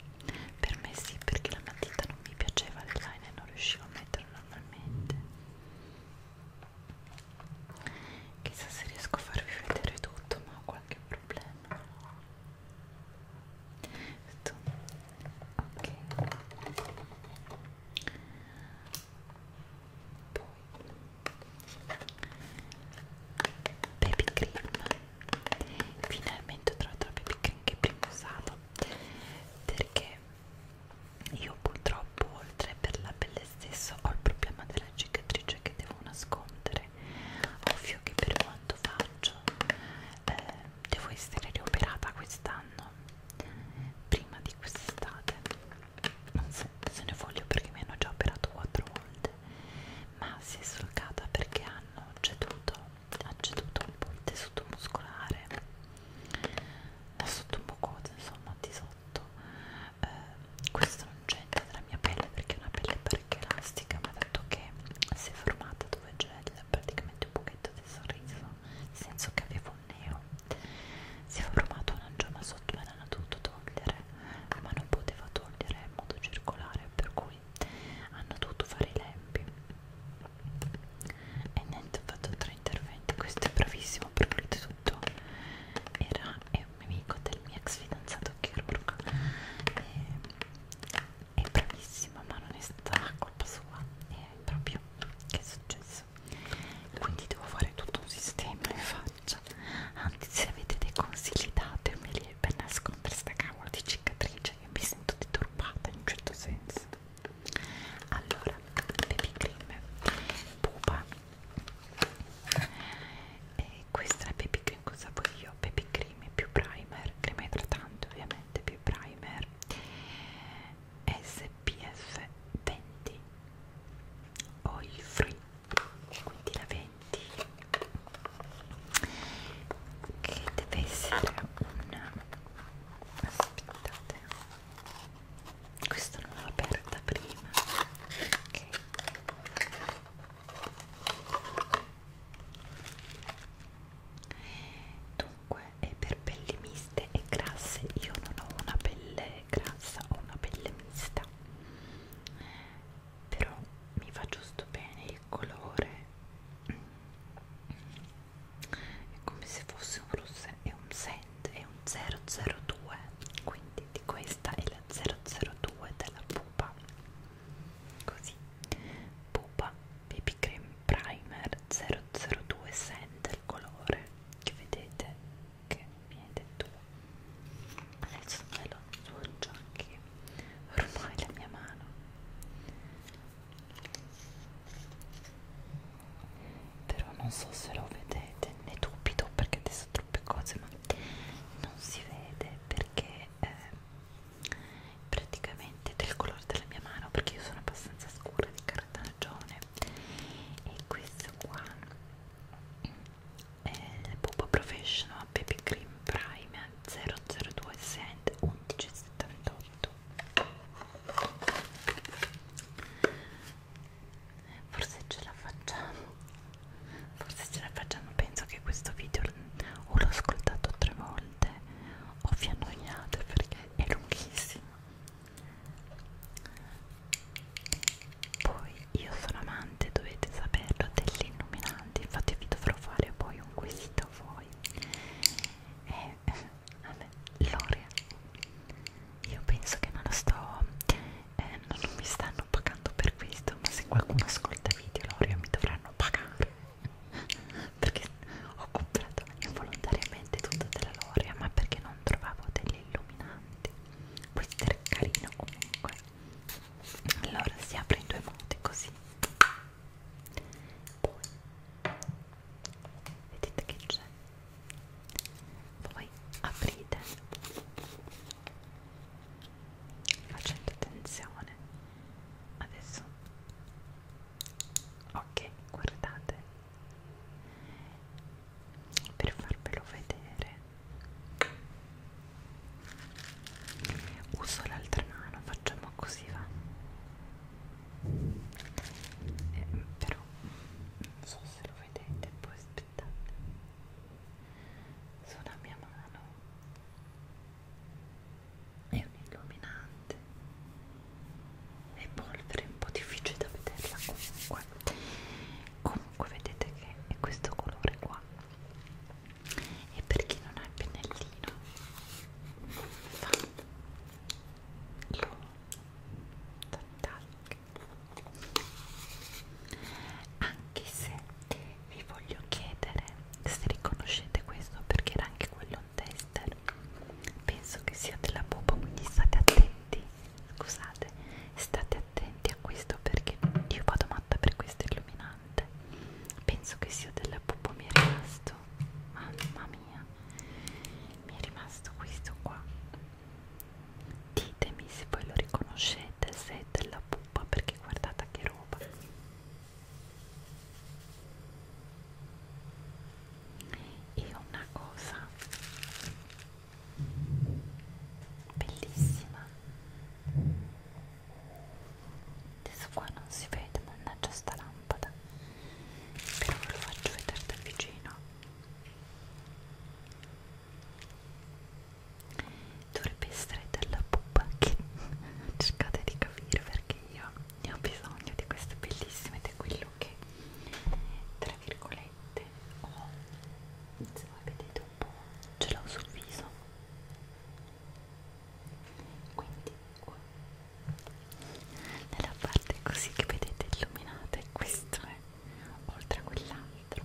per me sì perché la matita non mi piaceva l'eyeliner non riuscivo a metterlo normalmente chissà se riesco a farvi vedere tutto ma ho qualche problema tutto. ok poi baby cream finalmente ho trovato la baby cream che prima usavo perché io purtroppo oltre per la pelle stessa ho il problema della cicatrice che devo nascondere ovvio che per quanto faccio eh, devo essere rioperata quest'anno prima di quest'estate non se, se ne voglio perché mi hanno già operato quattro volte ma si è solcata perché hanno ceduto ha ceduto un po' il tessuto muscolare da sotto un po' insomma di sotto eh, questo non c'entra nella mia pelle perché è una pelle parecchio elastica ma dato che si è formata dove c'è praticamente un pochetto di sorriso nel senso che avevo neo si è formato un angioma sotto me l'hanno dovuto togliere ma non poteva togliere in modo circolare per cui hanno dovuto fare i lempi e niente ho fatto tre interventi questo è bravissimo per cui tutto era è un amico del mio ex fidanzato chirurgo e, è bravissimo ma non è stata colpa sua è proprio che è successo viso quindi devo fare tutto un sistema in faccia anzi se avete dei consigli datemeli per nascondere sta cavolo di cicatrice io mi sento deturpata in un certo senso allora baby cream pupa e questa è baby cream cosa voglio baby cream più primer crema idratante ovviamente più primer SPF 20 oil free quindi la 20 che deve essere una aspettate questa non l'ho aperta prima ok dunque è per pelli miste miste e grasse io non ho una pelle grassa ho una pelle mista però mi va giusto bene il colore è come se fosse un rosso è un scent è un 002 quindi di questa è la 002 della pupa così pupa baby cream primer 002 scent il colore che vedete che mi hai detto adesso me lo sfoggio anche ormai la mia mano però non so se lo vedete ne dubito perché adesso troppe cose ma non si vede perché eh, praticamente del colore della mia mano perché io sono abbastanza scura di cartagione e questo qua è il Pupa Professional Baby Cream Prime 002 Scent 1178 forse ce la facciamo forse ce la facciamo penso che questo video o l'ho ascoltato tre volte o vi annoiate perché è lunghissimo poi io sono amante, dovete saperlo, degli illuminanti, infatti vi dovrò fare poi un quesito a voi. E eh, vabbè, L'Oreal, io penso che non lo sto, eh, non mi stanno pagando per questo, ma se qualcuno ascolta video L'Oreal mi dovranno pagare, perché ho comprato involontariamente tutto della L'Oreal, ma perché non non trovavo degli illuminanti questo era carino comunque allora si apre in due modi così poi vedete che c'è poi aprite facendo attenzione adesso ok guardate per farvelo vedere uso l'altra mano facciamo così va eh, però non so se lo vedete poi aspettate sulla mia mano è un illuminante e polvere, un po' difficile da vederla comunque comunque vedete che è questo colore qua e per chi non ha il pennellino fa lo tac anche se vi voglio chiedere se riconoscete questo perché era anche quello un tester penso che sia della popa quindi state attenti scusate state attenti a questo perché io vado matta per questo illuminante penso che sia della pupo mi è rimasto mamma mia mi è rimasto questo qua ditemi se voi lo riconoscete se è della pupa perché guardate che roba e una cosa bellissima adesso qua non si vede mannaggia sta lampada però ve lo faccio vedere da vicino dovrebbe essere della pupa che cercate di capire perché io ne ho bisogno di queste bellissime ed è quello che tra virgolette veramente ho, se voi vedete un po', ce l'ho sul viso quindi qua nella parte così che vedete illuminata e questo è eh, oltre a quell'altro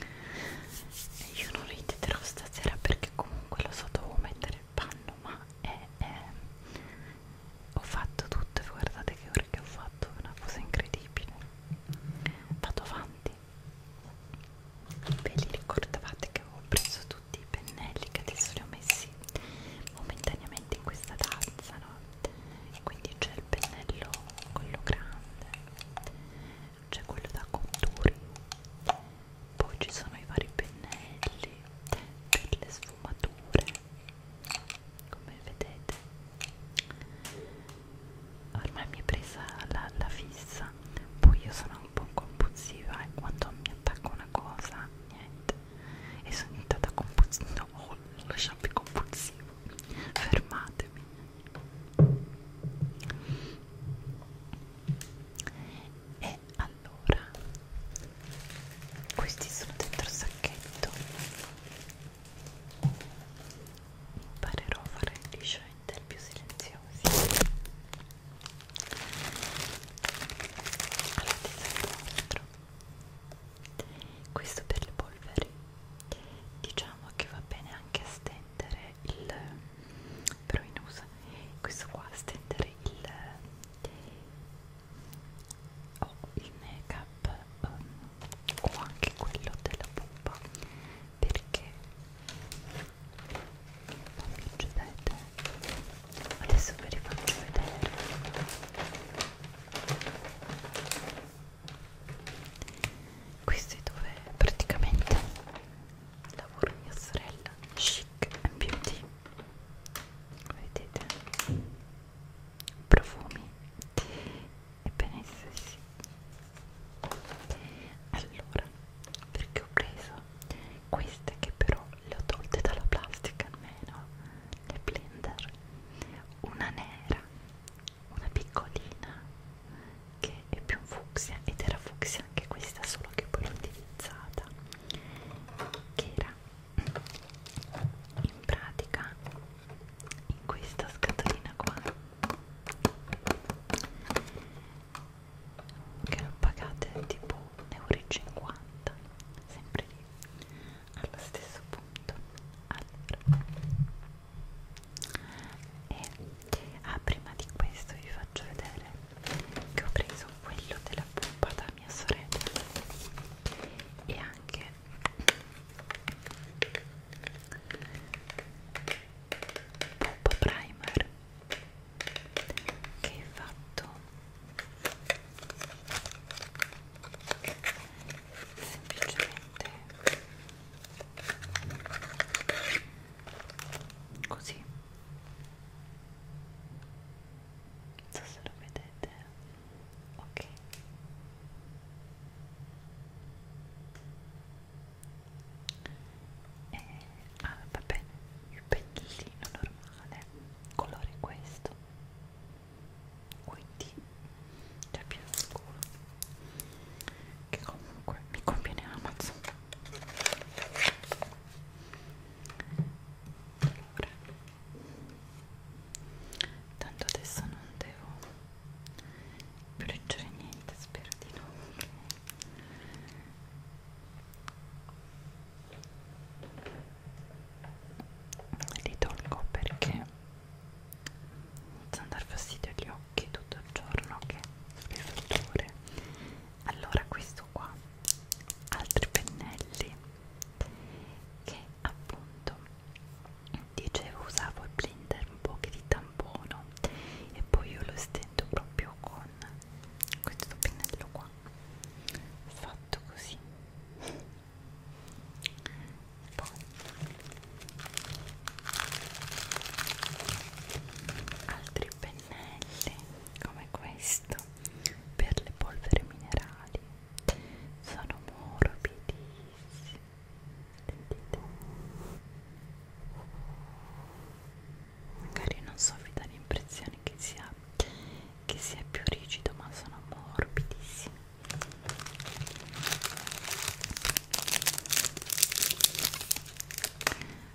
e io non riditerò stasera perché comunque lo so dovevo mettere il panno ma è, è ho fatto tutto e guardate che ore che ho fatto, è una cosa incredibile. Vado avanti. Ve li ricordavate che avevo preso tutti i pennelli che adesso li ho messi momentaneamente in questa tazza, no? E quindi c'è il pennello quello grande, c'è quello da conturi, poi ci sono i vari pennelli per le sfumature come vedete ormai mi è presa la, la fissa poi io sono un po' compulsiva e quando mi attacco una cosa niente e sono diventata compulsiva no, oh, lo shopping compulsivo fermatemi e allora questi sono dentro sacchetto imparerò a fare gli scelte più silenziosi allora ti serve questo per le polveri diciamo che va bene anche a stendere il però in uso questo qua a stendere il ho il make-up um, o anche quello della pupa perché non mi giudete adesso ve li faccio vedere questi dove praticamente lavoro mia sorella chic and beauty vedete profumi e benessere sì allora perché ho preso queste che però le ho tolte dalla plastica almeno le blender una nera una piccolina che è più fucsia ed era fucsia anche questa solo che poi l'ho utilizzata che era in pratica in questa scatolina qua che l'ho pagate tipo 1,50 euro sempre lì allo stesso punto allora e ah prima di questo vi faccio vedere che ho preso quello della pompa da da mia sorella e anche Pop Primer che è fatto semplicemente così non so se lo vedete ok e, eh, ah va bene il pennellino normale colore questo quindi già più scuro che comunque mi conviene Amazon allora tanto adesso non devo leggere niente spero di no li tolgo perché senza dar fastidio agli occhi tutto il giorno che le fatture allora questo qua altri pennelli che appunto dicevo usavo il blender un po' che di tampono e poi io lo stendo proprio con questo pennello qua fatto così poi altri pennelli come questo per le polvere minerali sono morbidissimi sentite magari non so vi dà l'impressione che sia che sia più rigido ma sono morbidissimi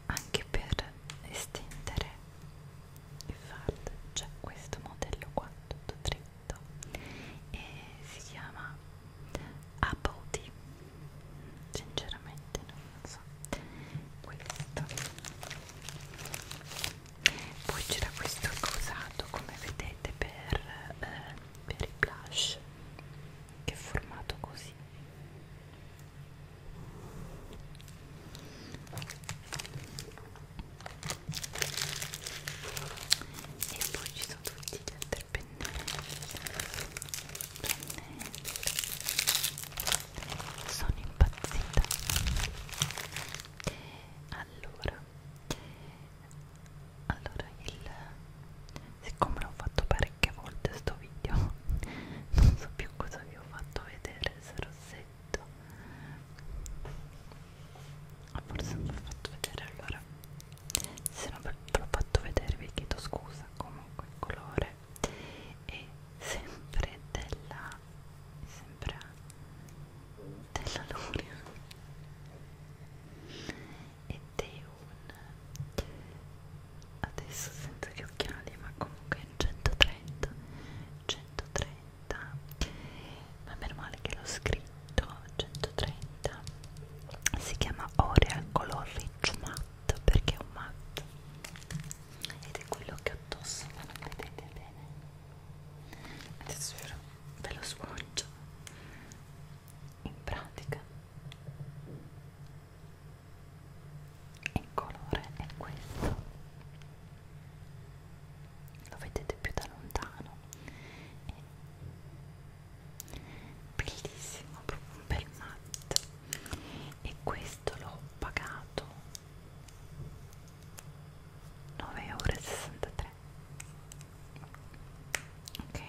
anche per estendere il fard c'è cioè questo modello qua tutto 3 letto e si chiama Apple Tea sinceramente non so questo poi c'era questo che ho usato come vedete per, eh, per i blush che è formato così e poi ci sono tutti gli altri pennelli pennelli sono impazzita allora allora il siccome l'ho fatto parecchie volte sto video non so più cosa vi ho fatto vedere se rossetto forse non ve l'ho fatto vedere allora se non ve l'ho fatto vedere vi chiedo scusa comunque il colore è sempre della mi sembra della Luria ed è un adesso senza gli occhiali ma comunque 130 130 130 ma meno male che l'ho scritto 130 si chiama Oreal Color Rich Matte perché è un matte ed è quello che ho addosso ma non vedete bene adesso ve lo sfoggio in pratica il colore è questo lo vedete più da lontano bellissimo proprio un bel matte e questo l'ho pagato 9,63 ok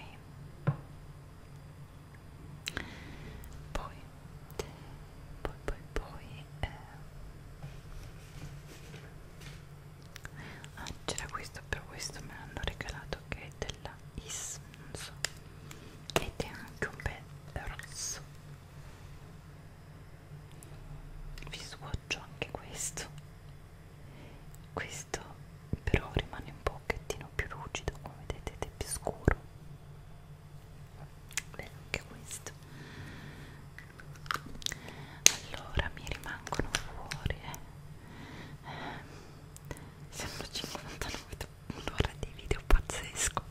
poi poi poi poi eh, ah, c'era questo però questo me l'hanno regalato che è della Is non so ed è anche un bel rosso vi swatcho anche questo questo però rimane un pochettino più lucido come vedete ed è più scuro bello anche questo allora mi rimangono fuori eh. Eh, sembra 59 un'ora di video pazzesco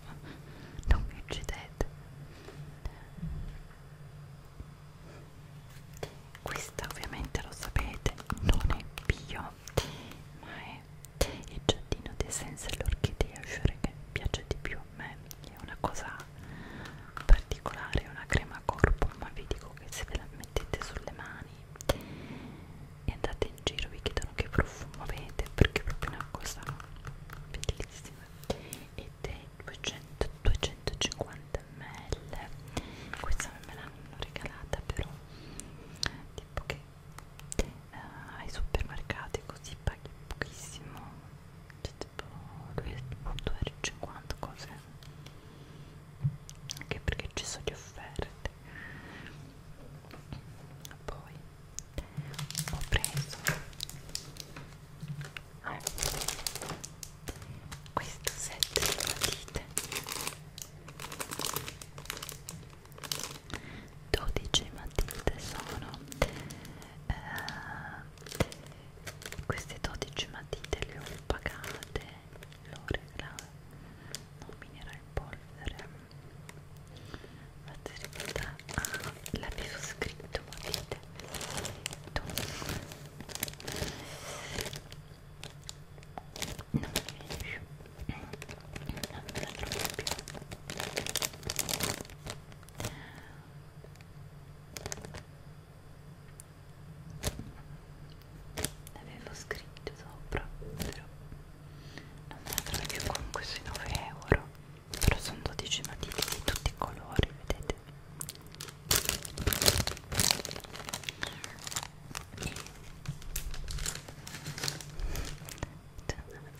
non mi uccidete questa ovviamente lo sapete non è bio ma è il giardino di senza l'orchidea che piace di più a me è una cosa particolare, è una crema corpo, ma vi dico che se ve la mettete sulle mani e andate in giro vi chiedono che profumo avete perché proprio una cosa bellissima ed è 200, 250 ml questa me l'hanno regalata però tipo che eh, ai supermercati così paghi pochissimo cioè, tipo 2,50 cose anche perché ci sono le offerte poi ho preso ah, questo set di matite 12 matite sono eh, queste 12 matite le ho pagate l'oregano non minera in polvere fate ricordare ah l'avevo scritto matite dunque non mi viene più non me la trovo più l'avevo scritto sopra però non me la trovo più comunque sui 9 euro però sono 12 matite di tutti i colori vedete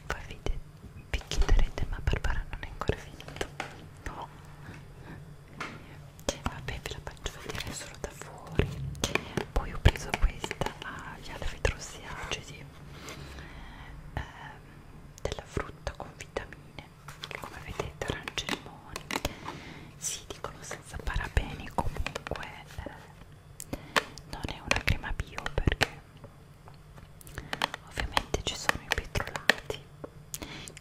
poi vi, vi chiederete ma Barbara non è ancora finito no vabbè ve la faccio vedere solo da fuori poi ho preso questa agli ah, alfetrosiacidi ehm, della frutta con vitamine come vedete arance e limoni si dicono senza parabeni comunque eh, non è una crema bio perché ovviamente ci sono i petrolati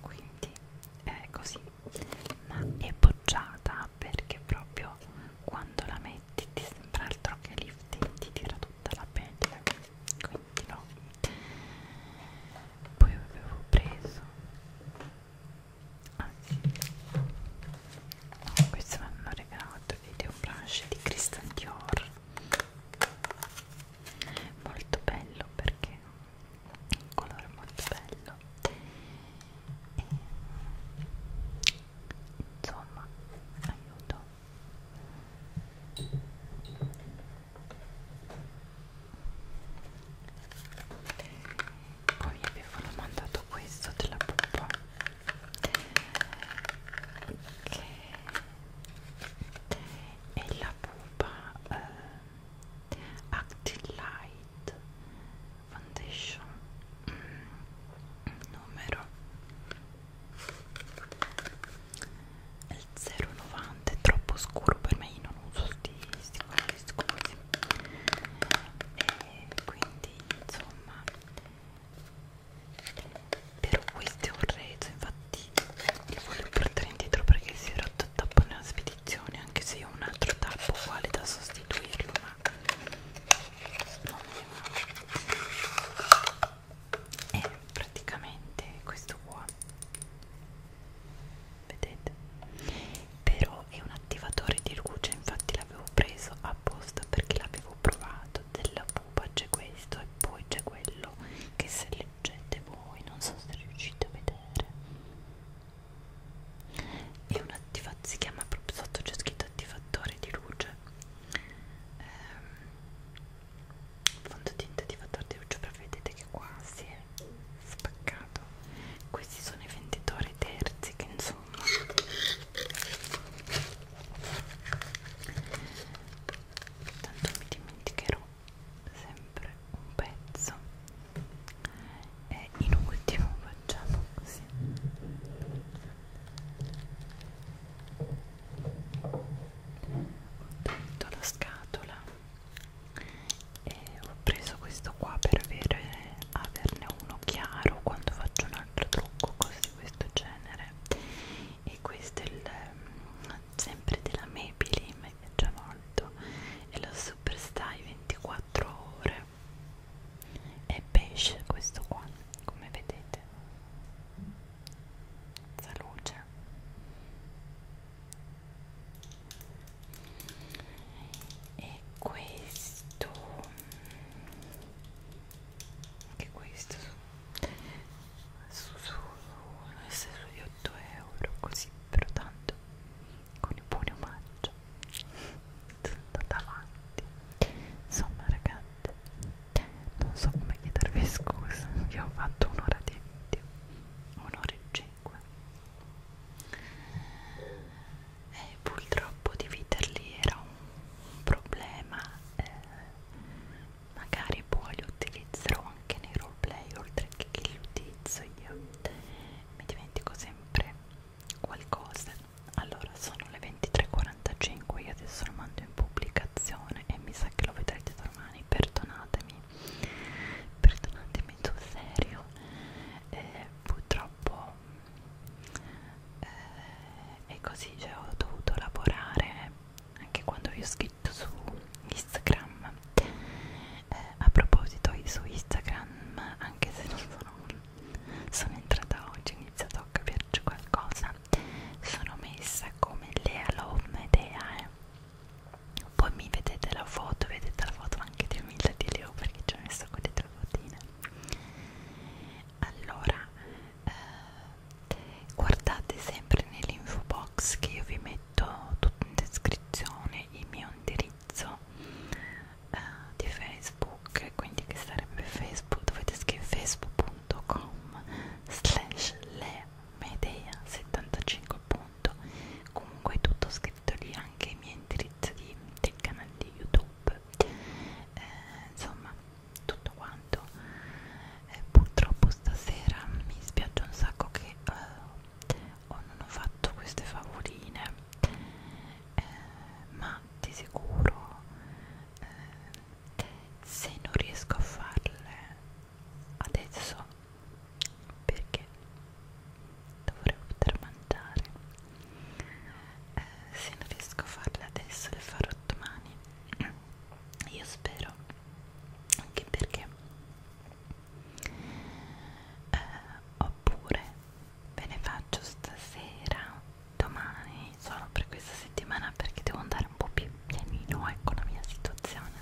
quindi eh, così ma è bocciata perché proprio quando la metti ti sembra altro che lifting ti tira tutta la pelle quindi no poi avevo preso anzi no, questo mi hanno regalato video brush di Christian Dior molto bello perché un colore molto bello e insomma aiuto poi avevo mandato questo della poppa che e la pupa eh, Active Light Foundation mm, numero il 090 è troppo scuro per me io non uso sti, sti quelli scuri e quindi insomma per questo ho reso infatti lo voglio portare indietro perché si era fatto il tappo nella spedizione anche se ho un altro tappo uguale da sostituirlo ma non mi va e eh, praticamente questo qua vedete però è un attivatore di luce infatti l'avevo preso apposta perché l'avevo provato della pupa c'è questo e poi c'è quello che se leggete voi non so se riuscite a vedere è un attivatore si chiama proprio sotto c'è scritto attivatore di luce ehm, fondotinta attivatore di luce però vedete che qua si è spaccato questi sono i venditori terzi che insomma tanto mi dimenticherò sempre un pezzo e in ultimo facciamo così ho tolto la scatola e ho preso questo qua per avere, averne uno chiaro quando faccio un altro trucco cose di questo genere e questo è il, mm, sempre della Maybelline mi piaceva molto e lo superstai 24 ore è pesce questo qua come vedete salute e questo anche questo su su su su di 8 euro così però tanto con i buoni omaggio sono andata avanti insomma ragazzi non so come chiedervi scusa io ho fatto un'ora di video un'ora e cinque e purtroppo dividerli era un problema eh, magari poi li utilizzerò anche nei roleplay oltre che che li utilizzo io mi dimentico sempre qualcosa allora sono le 23.45 io adesso lo mando in pubblicazione e mi sa che lo vedrete domani perdonatemi perdonatemi sul serio eh, purtroppo eh, è così cioè ho dovuto lavorare anche quando vi ho scritto su Instagram eh, a proposito su Instagram anche se non sono sono entrata oggi ho iniziato a capirci qualcosa sono messa come Lea Lomedea eh. poi mi vedete la foto vedete la foto anche di Emilia di Leo perché ci ho messo quelle tre fotine allora eh, guardate sempre nell'info box che io vi metto tutto in descrizione i miei indirizzi indirizzo eh, di Facebook, quindi che sarebbe Facebook, dovete scrivere facebook.com slash le medea 75 punto. comunque è tutto scritto lì anche i miei indirizzi di, del canale di youtube eh, insomma tutto quanto eh, purtroppo stasera mi spiace un sacco che eh, o oh, non ho fatto queste favorine eh, ma di sicuro eh, se non riesco a farle adesso perché dovrei poter mangiare eh, se non riesco a farle adesso le farò domani io spero anche perché eh, oppure ve ne faccio stasera domani solo per questa settimana perché devo andare un po' più pianino ecco la mia situazione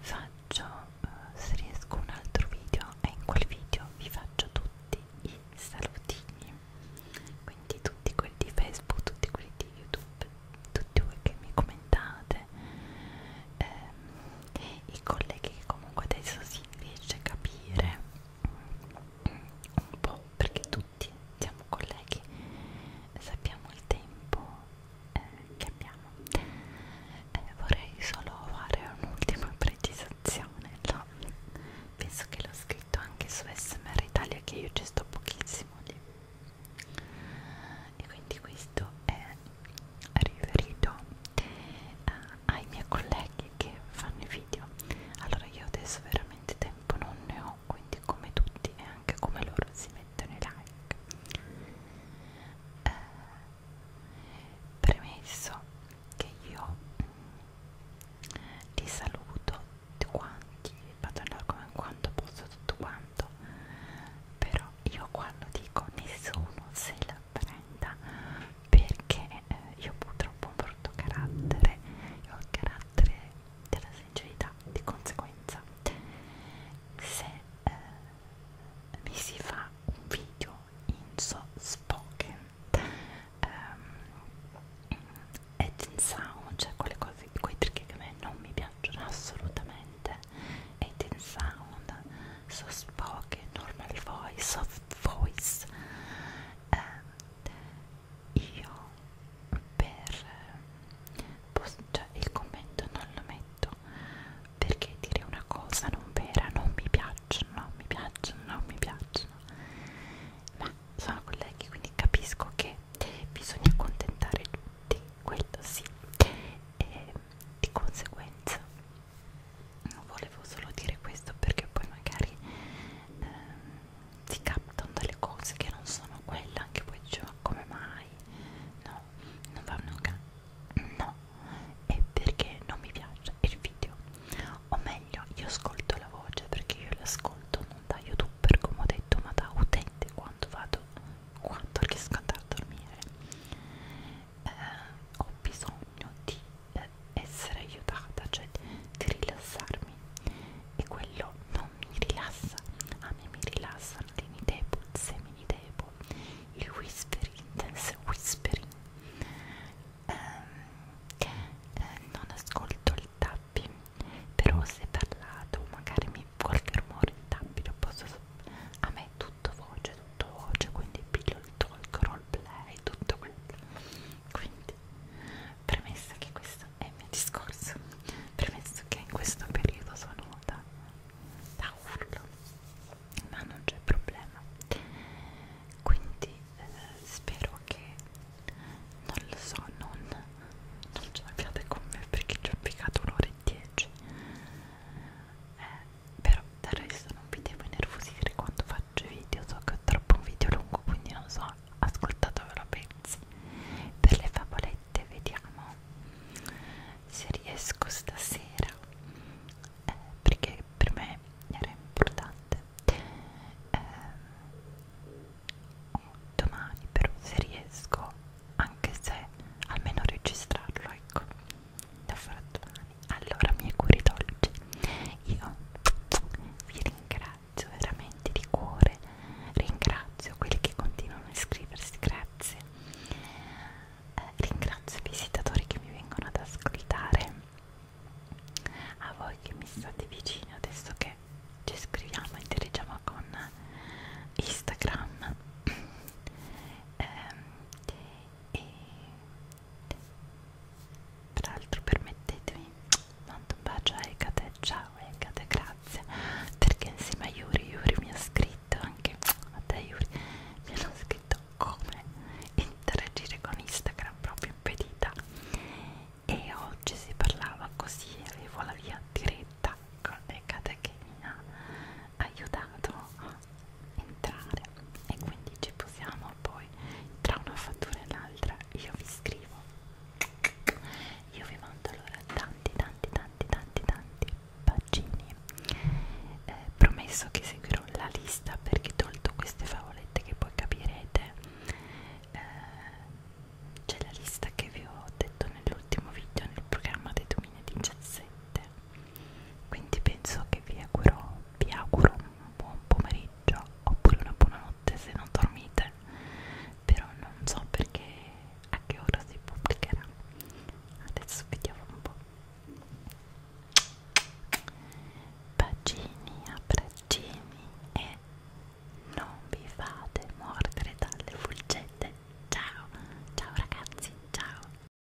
faccio eh, se riesco un altro video e in quel video vi faccio tutti i salutini quindi tutti quelli di facebook tutti quelli di youtube tutti voi che mi commentate eh, i colleghi che comunque adesso si riesce a capire un po' perché tutti siamo colleghi sappiamo il tempo eh, che abbiamo eh, vorrei solo fare un'ultima precisazione no? penso che l'ho scritto anche su SMR Italia che io ci sto pochissimo lì e quindi questo è riferito uh, ai miei colleghi che fanno i video allora io adesso veramente tempo non ne ho quindi come tutti e anche come loro si mettono i like uh, premesso che io mh, mm, li saluto tutti quanti vado in come quanto posso tutto quanto però io quando dico nessuno se la trasparenta perché eh, io purtroppo ho un brutto carattere io ho il carattere della sincerità di conseguenza se eh, mi si fa un video in so spoken um, ehm, edge sound cioè quelle cose quei trick che a me non mi piacciono assolutamente edge sound soft spoken, normal voice, soft voice. Eh, io per cioè, il commento non lo metto perché dire una cosa non vera non mi piacciono, non mi piacciono, non mi piacciono. Ma sono colleghi, quindi capisco che bisogna accontentare tutti, quello sì. E di conseguenza volevo solo dire questo perché poi magari ehm, ti captano delle cose che non sono quelle anche poi dicevo cioè, come mai no non va nulla no è perché non mi piace il video o meglio io ascolto la voce perché io l'ascolto non da youtuber come ho detto ma da utente quando vado quando riesco ad andare a dormire eh, ho bisogno di eh, essere aiutata, cioè di rilassarmi e quello non mi rilassa, a me mi rilassano le mini seminidepo, il whispering, intense whispering, eh, eh, non ascolto il tapping, però se parlato magari mi qualche rumore il tapping lo posso a me tutto tutto voce, tutto voce, quindi piglio il talk, roleplay, tutto quello. Quindi, premessa che questo è il mio discorso, premesso che in questo periodo sono da, da urlo, ma non c'è problema. Quindi eh, spero che, non lo so, non, non ce l'abbiate con me perché ci ho piccato un'ora e dieci. Eh, però del resto non vi devo innervosire quando faccio video so che è troppo un video lungo quindi non so ascoltatevelo pensi per le favolette vediamo se riesco stasera eh, perché per me era importante eh, domani però se riesco anche se almeno registrarlo ecco da Frattuani allora miei cuori dolci io vi ringrazio veramente di cuore ringrazio quelli che continuano a iscriversi grazie eh, ringrazio i visitatori che mi vengono ad ascoltare a voi che mi state vicini adesso che ci scriviamo e dirigiamo con Instagram ehm, e peraltro permettetemi mando un bacio a Ecate ciao Ecate grazie perché insieme a Yuri Yuri mi ha scritto anche a te Yuri mi hanno scritto come interagire con Instagram proprio impedita e oggi si parlava così avevo la via diretta con Ecate che mi ha aiutato entrare e quindi ci possiamo poi tra una fattura e l'altra io vi scrivo io vi mando allora tanti tanti tanti tanti tanti bacini eh, promesso che seguirò la lista perché tolto queste favolette che poi capirete eh, c'è la lista che vi ho detto nell'ultimo video nel programma dei 2017 quindi penso che vi auguro, vi auguro un buon pomeriggio oppure una buonanotte se non dormite però non so perché a che ora si pubblicherà adesso vediamo un po' bacini, abbraccini e non vi fate mordere dalle fulgette ciao, ciao ragazzi, ciao